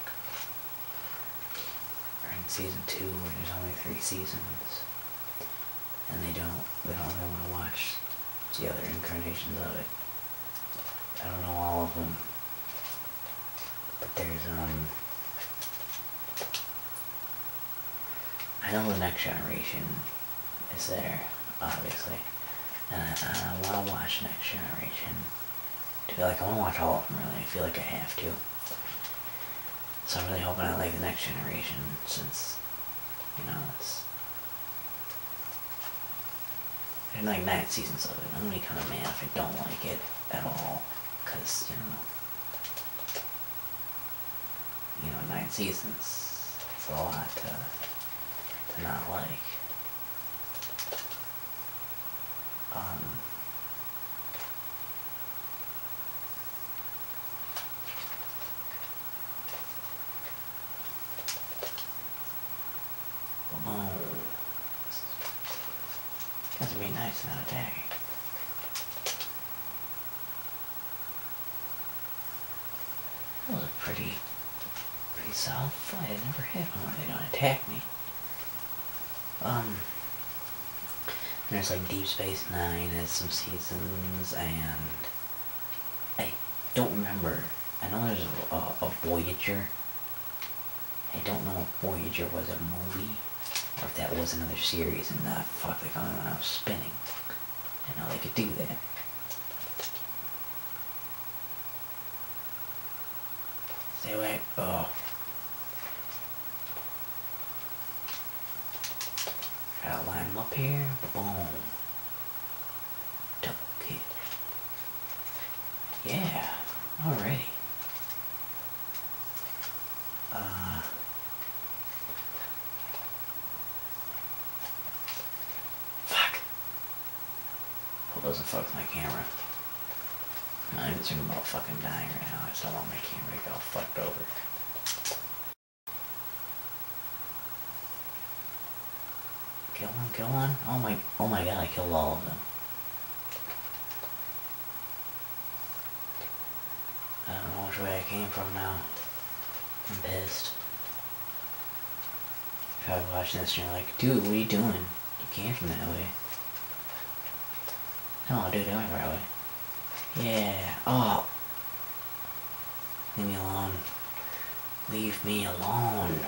We're in season two, and there's only three seasons and they don't they don't really want to watch the other incarnations of it. I don't know all of them, but there's um. I know the next generation is there, obviously, and I, I want to watch next generation. To be like I want to watch all of them really. I feel like I have to. So I'm really hoping I like the next generation since you know it's seasons. There's like nine seasons of it. I'm gonna be kind of mad if I don't like it at all, cause you know, you know, nine seasons. It's a lot to, to not like. Um, Come on. That's be nice and attacking. That was a pretty, pretty solid flight. I never had one where they don't attack me. Um, there's like Deep Space Nine has some seasons and I don't remember. I know there's a, Voyager. I don't know if Voyager was a movie or if that was another series and that fuck they found when I was spinning. I know they could do that. Stay away. Oh. Gotta line them up here. Boom. Double kid. Yeah, alrighty. Uh, fuck. Hope doesn't fuck my camera. I'm even thinking about fucking dying right now. I just don't want my camera to get fucked over. Kill one, kill one. Oh my, oh my god, I killed all of them. I don't know which way I came from now. I'm pissed. Probably watching this and you're like, dude, what are you doing? You came from that way. No, dude, I went the right way. Yeah. Oh, Leave me alone. Leave me alone.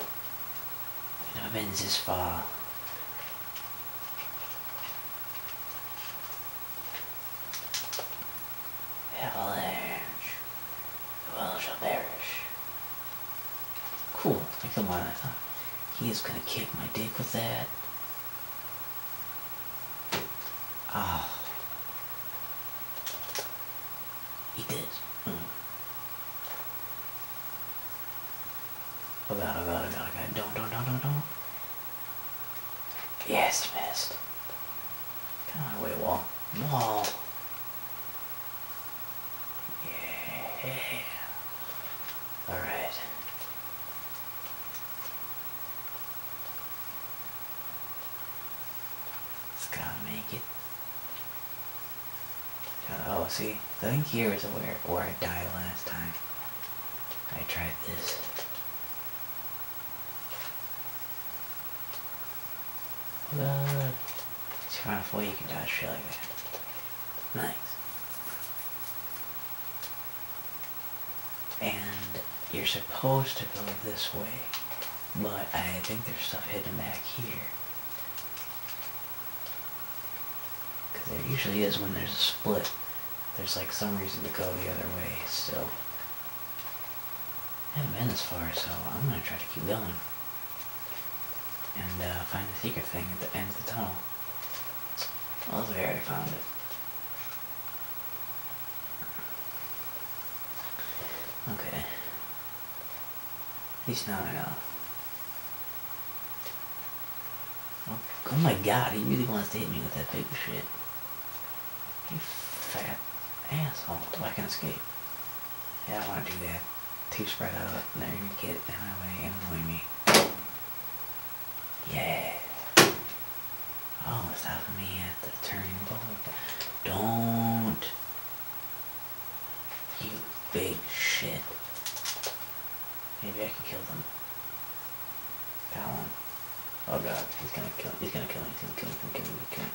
I've been this far. Avalanche. The shall perish. Cool. I come on. I thought he is gonna kick my dick with that. Oh. He did. Mm. Oh god, oh, oh, oh Don't, don't, don't, don't, Yes, missed. Can I wait, wall. Wall. Yeah. Alright. It's gotta make it. oh, see, I think here is where, where I died last time. I tried this. It's on. let way you can dodge shit like that. Nice. And you're supposed to go this way. But I think there's stuff hidden back here. Because there usually is when there's a split. There's like some reason to go the other way still. I haven't been this far, so I'm going to try to keep going. And uh, find the secret thing at the end of the tunnel. Oh, there, I already found it. Okay. He's not at all. Oh, oh my god, he really wants to hit me with that big shit. You fat asshole. Oh, I can escape. Yeah, I want to do that. Two spread out, and gonna get in my I way annoy me. Yeah. Oh, Always have me at the turning point. Don't. You big shit. Maybe I can kill them. Palin. Oh god, he's gonna kill me. He's gonna kill me. He's gonna kill me. He's gonna kill me. He's gonna kill me.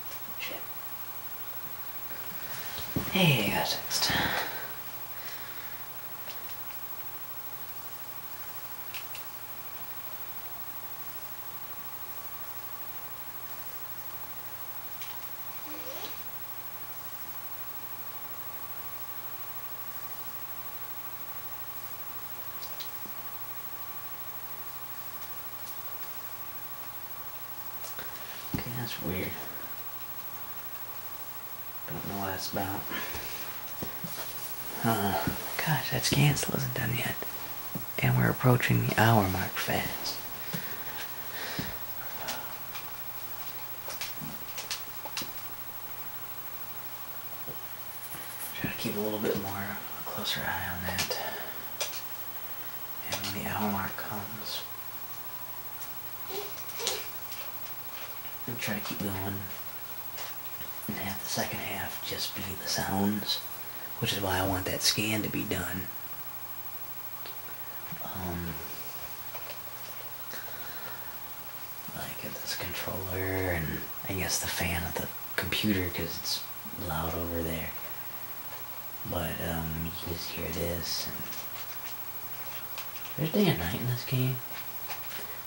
Shit. Hey, I got text. Okay, that's weird. Don't know what that's about. Uh, gosh, that scan's is not done yet and we're approaching the hour mark fast. Try to keep a little bit more closer eye on that. And when the hour mark comes, and try to keep going. And have the second half just be the sounds which is why I want that scan to be done. Um, like this controller and I guess the fan of the computer because it's loud over there. But um, you can just hear this. And there's day and night in this game,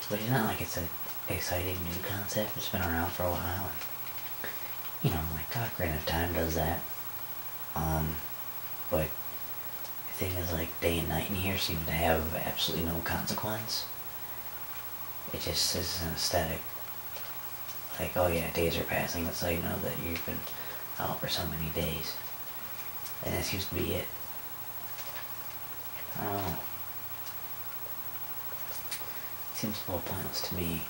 but it's not like it's an exciting new concept. It's been around for a while you know, like Ocarina of Time does that. Um, but the thing is, like, day and night in here seem to have absolutely no consequence. It just is an aesthetic. Like, oh yeah, days are passing, that's how you know that you've been out for so many days. And that seems to be it. I Seems a little pointless to me,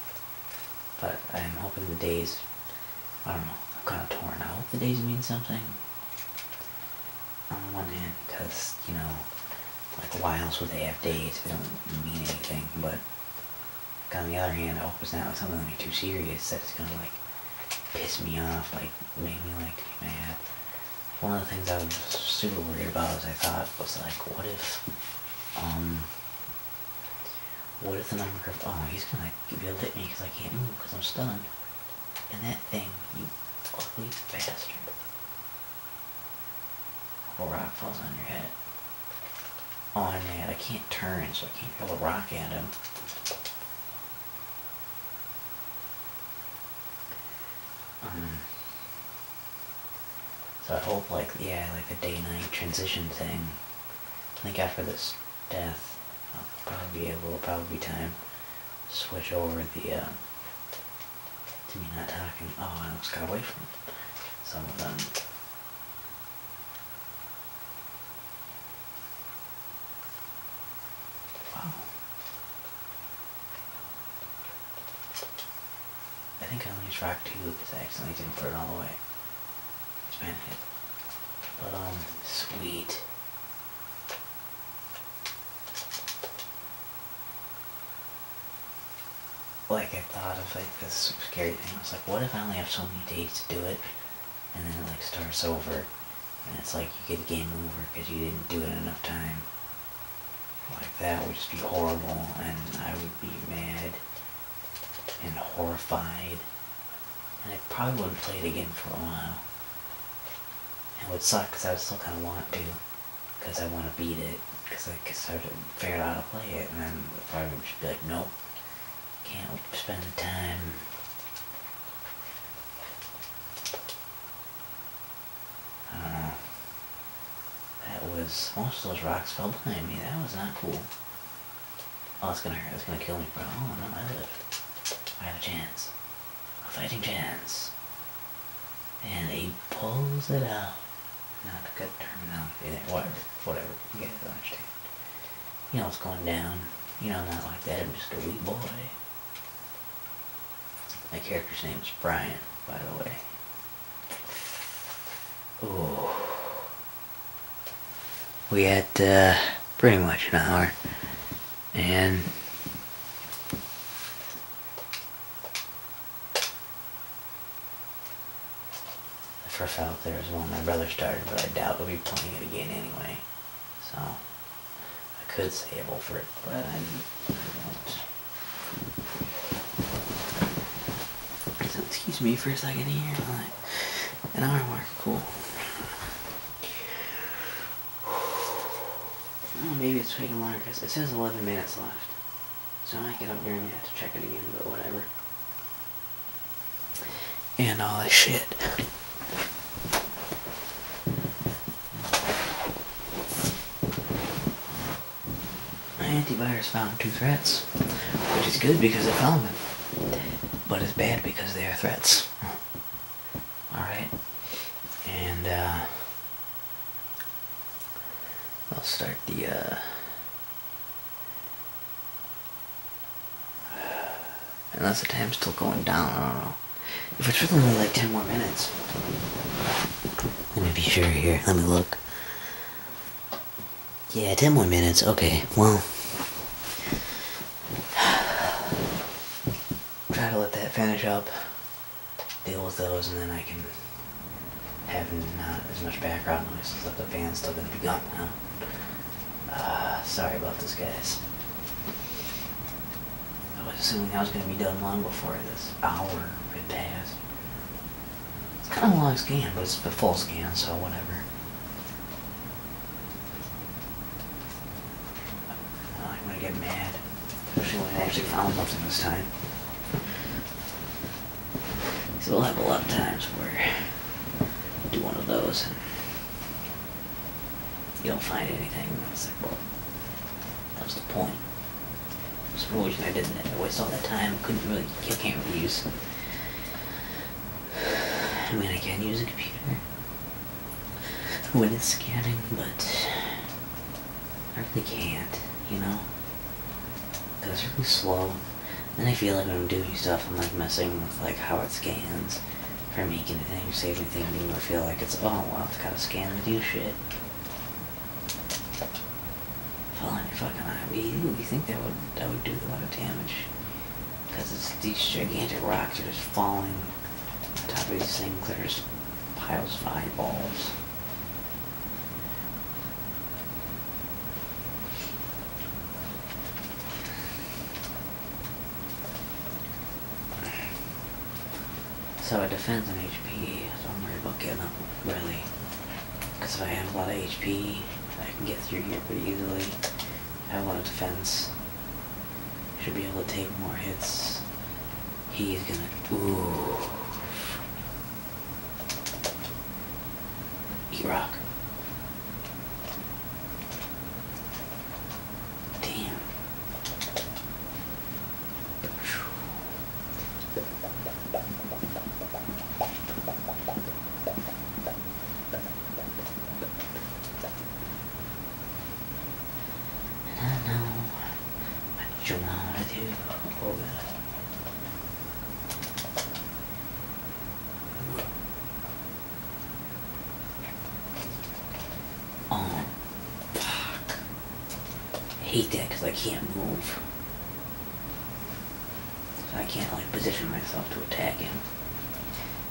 but I'm hoping the days, I don't know, I'm kind of torn. I hope the days mean something. On the one hand, because, you know, like why else would they have days if they don't mean anything, but on the other hand, I hope it's not something like too serious that's gonna like piss me off, like make me like mad. One of the things I was super worried about as I thought was like, what if, um, what is the number of... Oh, he's gonna give you a hit me because I can't move because I'm stunned. And that thing, you ugly faster. A rock falls on your head. Oh, i I can't turn, so I can't throw the rock at him. Um, so I hope, like, yeah, like the day-night transition thing. I think after this death, I'll probably be able, probably time switch over the, uh, to me not talking. Oh, I almost got away from some of them. Wow. I think I only tracked two because I accidentally didn't put it all the way. Expand it. But um, sweet. Like I thought of like this scary thing. I was like, what if I only have so many days to do it, and then it like starts over, and it's like you get game over because you didn't do it enough time. Like that would just be horrible, and I would be mad and horrified. And I probably wouldn't play it again for a while. And it would suck because I still kind of want to, because I want to beat it, because I could start to figure out how to play it, and then probably would just be like, nope, can't spend the time. I don't know. That was... Most those rocks fell behind me. That was not cool. Oh, it's gonna hurt. It's gonna kill me, bro. Oh, no, I live. I have a chance. A fighting chance. And he pulls it out. Not a good terminology there. Whatever. Whatever. You guys understand. You know it's going down. You know, I'm not like that. I'm just a wee boy. My character's name is Brian, by the way. We had uh, pretty much an hour. And the first out there was one my brother started, but I doubt we'll be playing it again anyway. So I could sable for it, but I, I won't excuse me for a second here. Like an hour mark, cool. maybe it's taking longer because it says 11 minutes left. So I might get up during that to check it again, but whatever. And all this shit. My antivirus found two threats, which is good because it found them, but it's bad because they are threats. Alright, and uh, I'll start the. Uh, unless the time's still going down, I don't know. If it's really only like 10 more minutes. Let me be sure here. Let me look. Yeah, 10 more minutes. Okay, well. Try to let that finish up, deal with those, and then I can have not as much background noise since the fan's still gonna be gone ah, sorry about this, guys. I was assuming I was gonna be done long before this hour had passed. It's kind of a long scan, but it's a full scan, so whatever. Oh, I'm gonna get mad, especially when I actually found something this time. So we'll have a lot of times where do one of those and you don't find anything. It's like, well, that was the point. It's the reason I didn't. waste all that time. Couldn't really, I can't really use I mean, I can use a computer when it's scanning, but I really can't, you know? Because it's really slow. And I feel like when I'm doing stuff, I'm like messing with like how it scans. If making make anything or save anything, I feel like it's, oh, well, it's gotta scan to do shit. Falling on your fucking eye. You, think that would that would do a lot of damage? Because it's these gigantic rocks are just falling on top of these things that are just piles of eyeballs. So it depends on HP, so I'm worried about getting up, really. Because if I have a lot of HP, I can get through here pretty easily. I have a lot of defense. Should be able to take more hits. He's gonna... Ooh. rock. Damn don't know what you want to do. Oh, fuck. I hate that because I can't move. So I can't like position myself to attack him.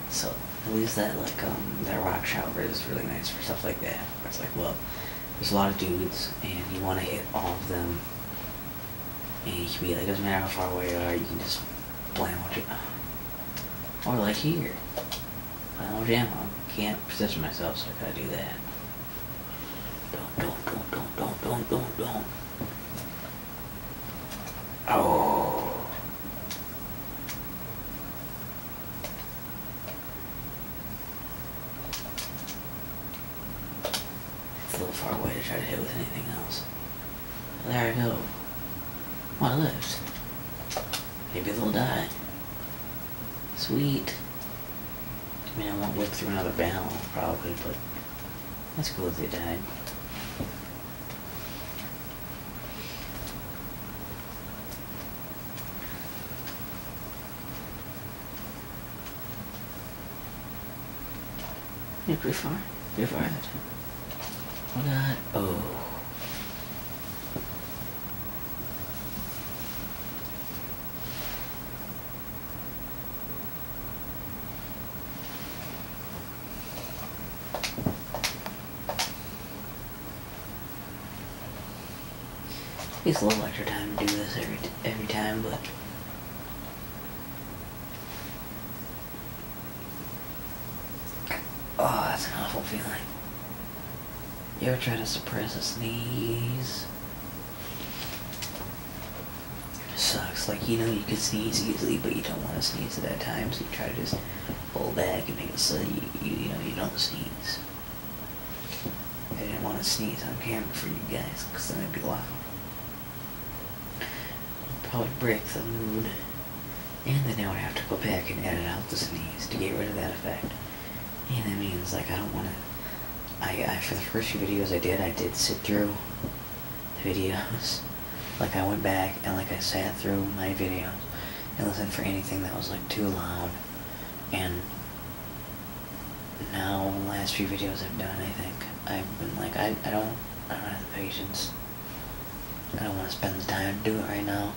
So at least that like um that rock shower is really nice for stuff like that. it's like, well, there's a lot of dudes and you wanna hit all of them and you can be like, doesn't matter how far away you are, you can just blam what you Or like here. I don't Can't position myself so I gotta do that. Don't, don't, don't, don't, don't, don't, don't, Oh. It's a little far away to try to hit with anything else. There I go. One of those. Maybe they'll die. Sweet. I mean, I won't look through another barrel, probably, but that's cool if they died. Yeah, pretty far. Pretty that time. Hold Oh. It's a little extra time to do this every every time, but oh, that's an awful feeling. You ever try to suppress a sneeze? Sucks. Like, you know, you can sneeze easily, but you don't want to sneeze at that time, so you try to just pull back and make it so you, you, know, you don't sneeze. I didn't want to sneeze on camera for you guys, because then it'd be loud. Probably break the mood. And then I would have to go back and edit out the sneeze to get rid of that effect. And that means, like, I don't want to... I, I, for the first few videos I did, I did sit through the videos. Like I went back and like I sat through my videos and listened for anything that was like too loud. And now the last few videos I've done, I think I've been like I I don't I don't have the patience. I don't want to spend the time to do it right now.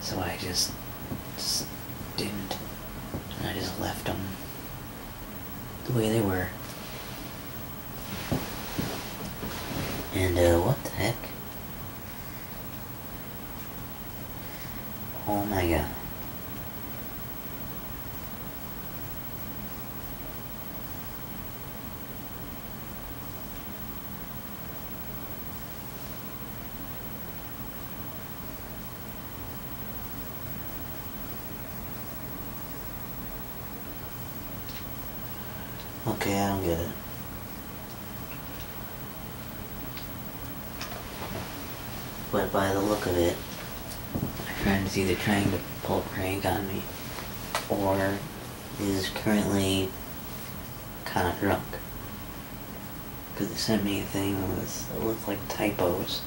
So I just, just didn't. And I just left them the way they were. And uh, what the heck? Oh my god. Okay, I don't get it. But by the look of it, my friend is either trying to pull a prank on me, or is currently kind of drunk. Because they sent me a thing with, it looked like typos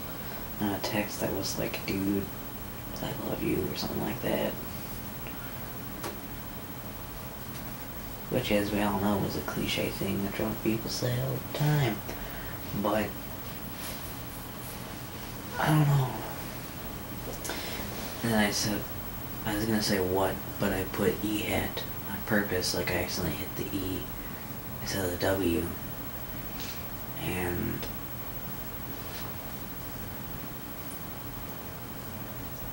on a text that was like, dude, I love you or something like that. Which, as we all know, is a cliche thing that drunk people say all the time. But, I don't know. And I said, I was gonna say what, but I put E hat on purpose, like I accidentally hit the E instead of the W. And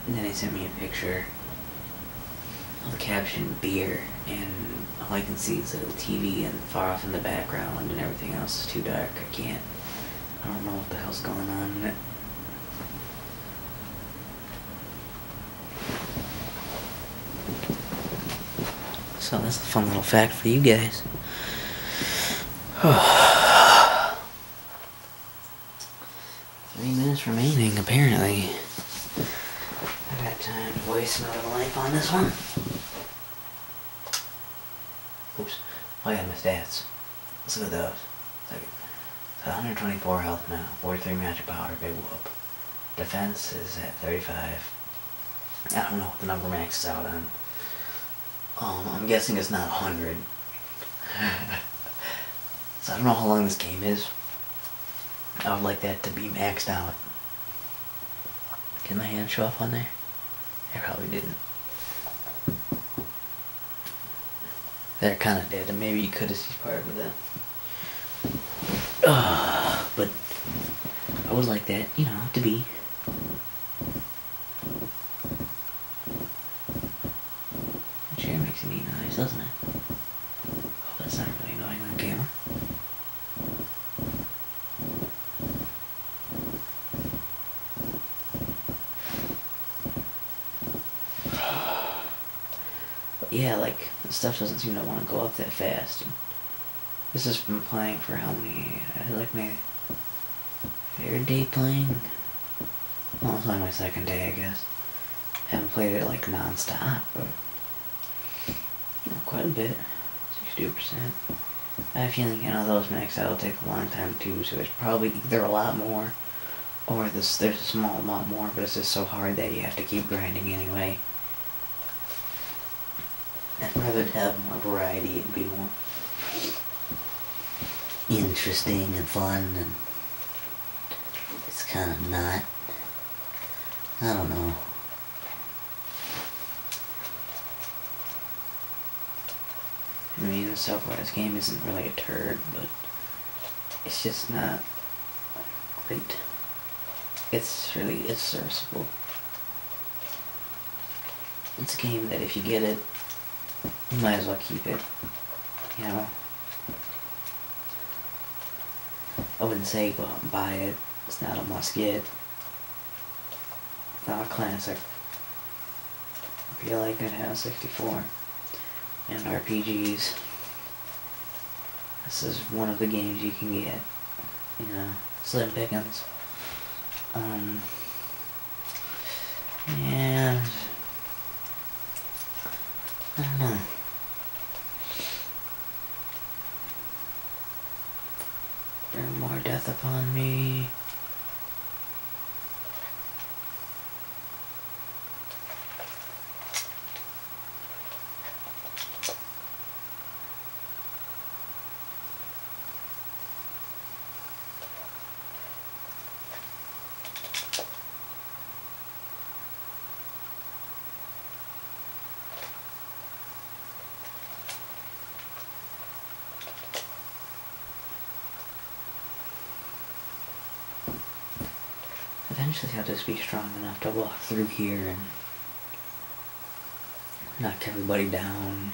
and then they sent me a picture of the caption beer, and all I can see is a little TV and far off in the background, and everything else is too dark. I can't. I don't know what the hell's going on. So that's a fun little fact for you guys. Three minutes remaining, apparently. I have got time to waste another life on this one. Oops. Oh yeah, my stats. let look at those. 124 health now, 43 magic power, big whoop. Defense is at 35. I don't know what the number maxes out on. Um, I'm guessing it's not 100. so I don't know how long this game is. I would like that to be maxed out. Did my hand show up on there? It probably didn't. They're kind of dead, and maybe you could have seen part of that. but I would like that, you know, to be the chair makes a neat noise, doesn't it? Oh, that's not really annoying on camera. yeah, like, the stuff doesn't seem to want to go up that fast. This has been playing for how many? like my third day playing. Well, it's only my second day, I guess. I haven't played it like non-stop, but quite a bit. sixty percent I feel like feeling you know those maxed that will take a long time too, so it's probably either a lot more or there's a small amount more, but it's just so hard that you have to keep grinding anyway. I'd rather have more variety and be more interesting and fun and it's kind of not. I don't know. I mean, the Southwest game isn't really a turd, but it's just not great. It's really, it's serviceable. It's a game that if you get it, you might as well keep it. You know? I wouldn't say go out and buy it. It's not a must get. It's not a classic. I feel like it has 64 and RPGs. This is one of the games you can get. You know. Slim Pickens. Um, and I don't know. Bring more death upon me. Eventually I'll just be strong enough to walk through here and knock everybody down,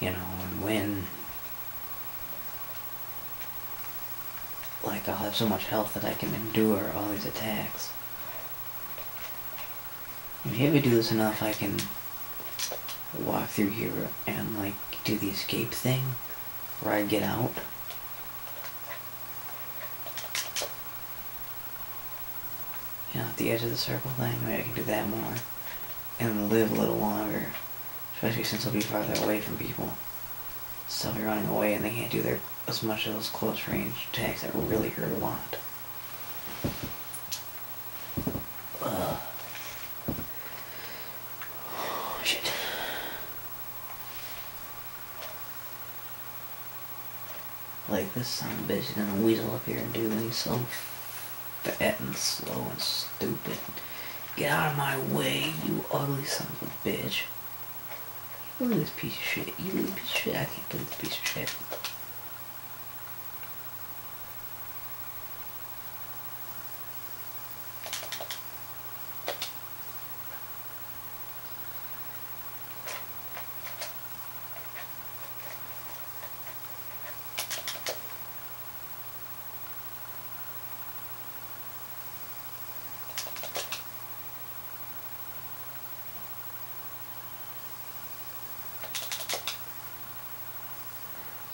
you know, and win. Like, I'll have so much health that I can endure all these attacks. if I do this enough, I can walk through here and, like, do the escape thing where I get out you know, at the edge of the circle thing. Maybe I can do that more and live a little longer, especially since I'll be farther away from people. So I'll be running away and they can't do their as much of those close range attacks that really hurt a lot. Ugh. Oh, shit. Like this son of a bitch is gonna weasel up here and do me so for acting slow and stupid. Get out of my way, you ugly son of a bitch. Look at this piece of shit. You little piece of shit. I can't believe this piece of shit.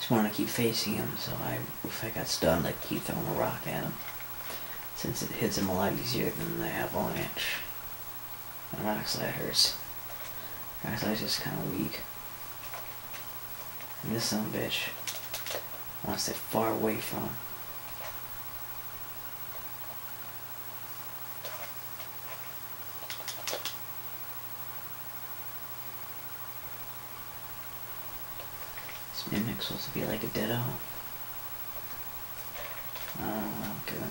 Just want to keep facing him, so I, if I got stunned, I'd keep throwing a rock at him. Since it hits him a lot easier than the avalanche. My And Rockslide hurts. Rockslide's just kind of weak. And this son bitch wants to stay far away from him. This mimic's supposed to be like a ditto. Oh, okay.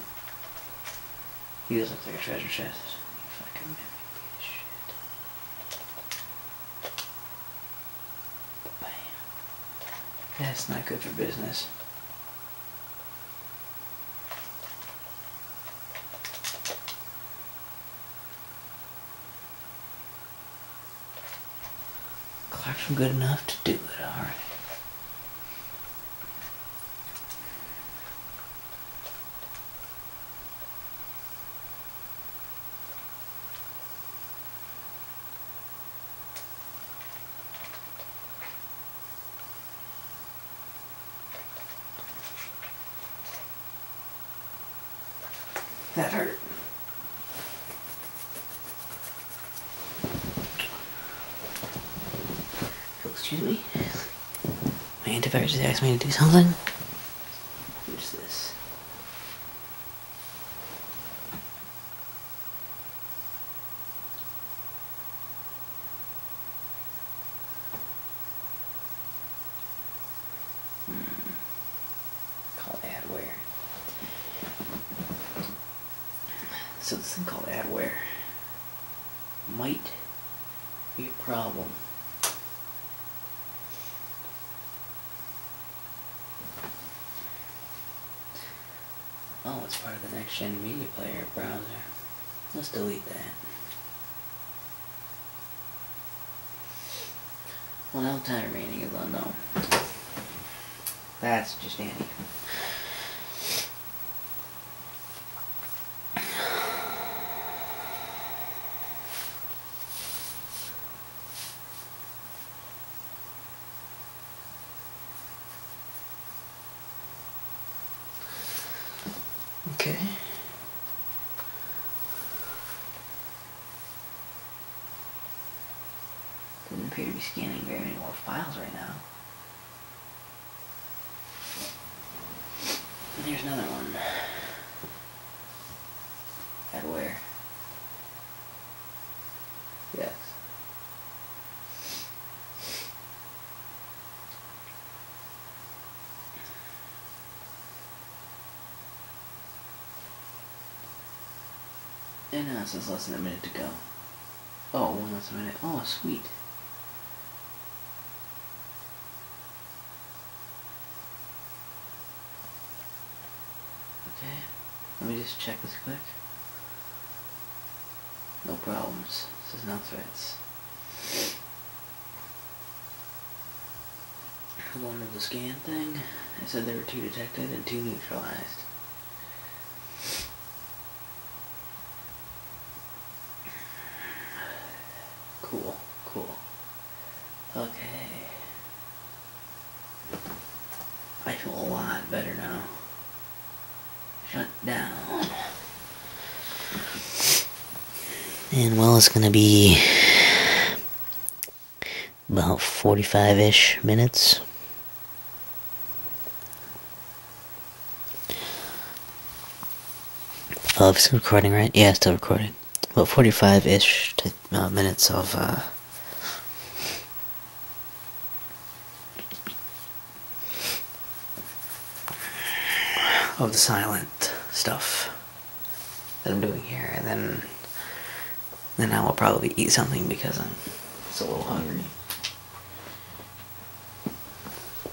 He does look like a treasure chest. Fucking mimic shit. Bam. That's not good for business. Clark's good enough to do it, alright. That hurt. Oh, excuse me. My antivirus just asked me to do something. What's this? Hmm. Called adware. So this thing called adware might be a problem. Oh, it's part of the next gen media player browser. Let's delete that. Well, how time remaining is unknown. That's just Annie. Okay. Doesn't appear to be scanning very many more files right now. And here's another one. At where? Yes. And now it says less than a minute to go. Oh, one less minute. Oh, sweet. Okay, let me just check this quick. No problems. This is not threats. i wanted to the scan thing. I said there were two detected and two neutralized. Cool, cool. Okay. I feel a lot better now. Shut down. And well, it's gonna be about 45 ish minutes. Oh, it's recording, right? Yeah, still recording. About 45-ish uh, minutes of, uh, Of the silent stuff that I'm doing here, and then... Then I will probably eat something because I'm it's a little hungry.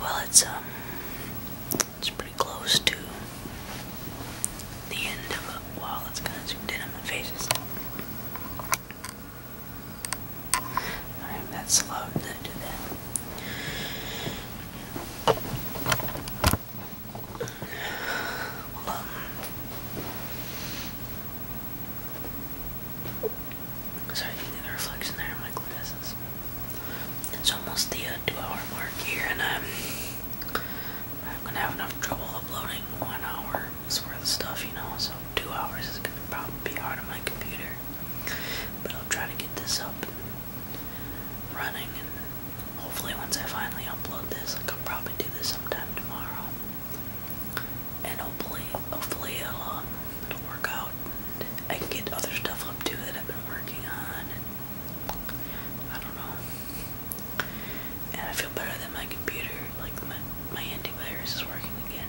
Well, it's um, it's pretty close to the end of it. it's kind of zoomed in on my faces. I'm that slow to do that sorry, you can get reflection there in my glasses. It's almost the uh, two-hour mark here, and I'm I'm gonna have enough trouble uploading one hour's worth of stuff, you know. So two hours is gonna probably be hard on my computer, but I'll try to get this up running and hopefully once I finally upload this I could probably do this sometime tomorrow and hopefully hopefully it'll, um, work out I can get other stuff up too that I've been working on and I don't know and I feel better than my computer like my, my antivirus is working again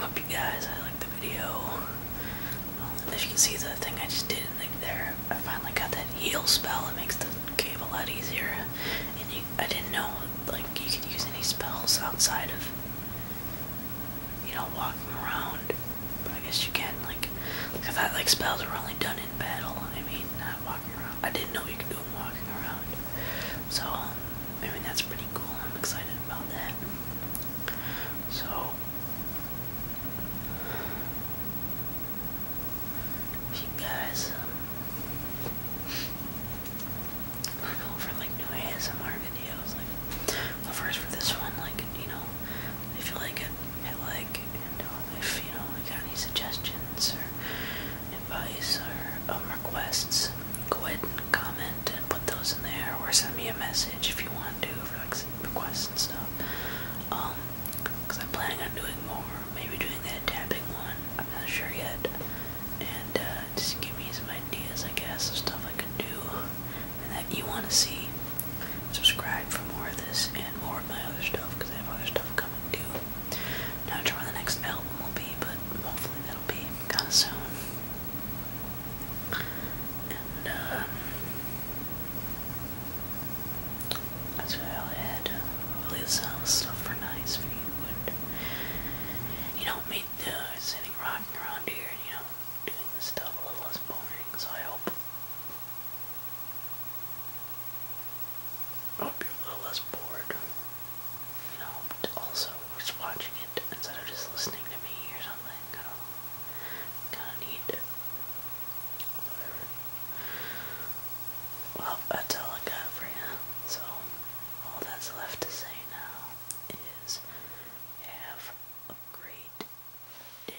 Hope you guys I like the video. Um, as you can see, the thing I just did like there, I finally got that heal spell. It makes the cave a lot easier. And I didn't know like you could use any spells outside of you know walking around. But I guess you can like because that like spells were only done in battle. I mean, not walking around. I didn't know you could do them walking around. So. Um, I mean that's pretty cool. I'm excited about that. So because um, I know for like new ASMR videos, like well first for this one, like you know, if you like it, hit like, um, if you know you got any suggestions or advice or um, requests, go ahead and comment comment and put those in there or send me a message if you want to for requests and stuff. because um, I'm planning on doing more, maybe doing that tapping one, I'm not sure yet. And uh, just give me some ideas, I guess, of stuff I could do and that you want to see. Subscribe for more of this and more of my other stuff because I have other stuff coming too. Not sure when the next album will be, but hopefully that'll be kind of soon. Uh, that's where I'll head. All this stuff for nice for you, and you don't sitting rocking around here you know doing this stuff a little less boring. So I hope, I hope you're a little less bored. You know, also just watching it instead of just listening to me or something. I do know. Gonna need. Well, that's all I got for you. So, all that's left to say now is have a great day.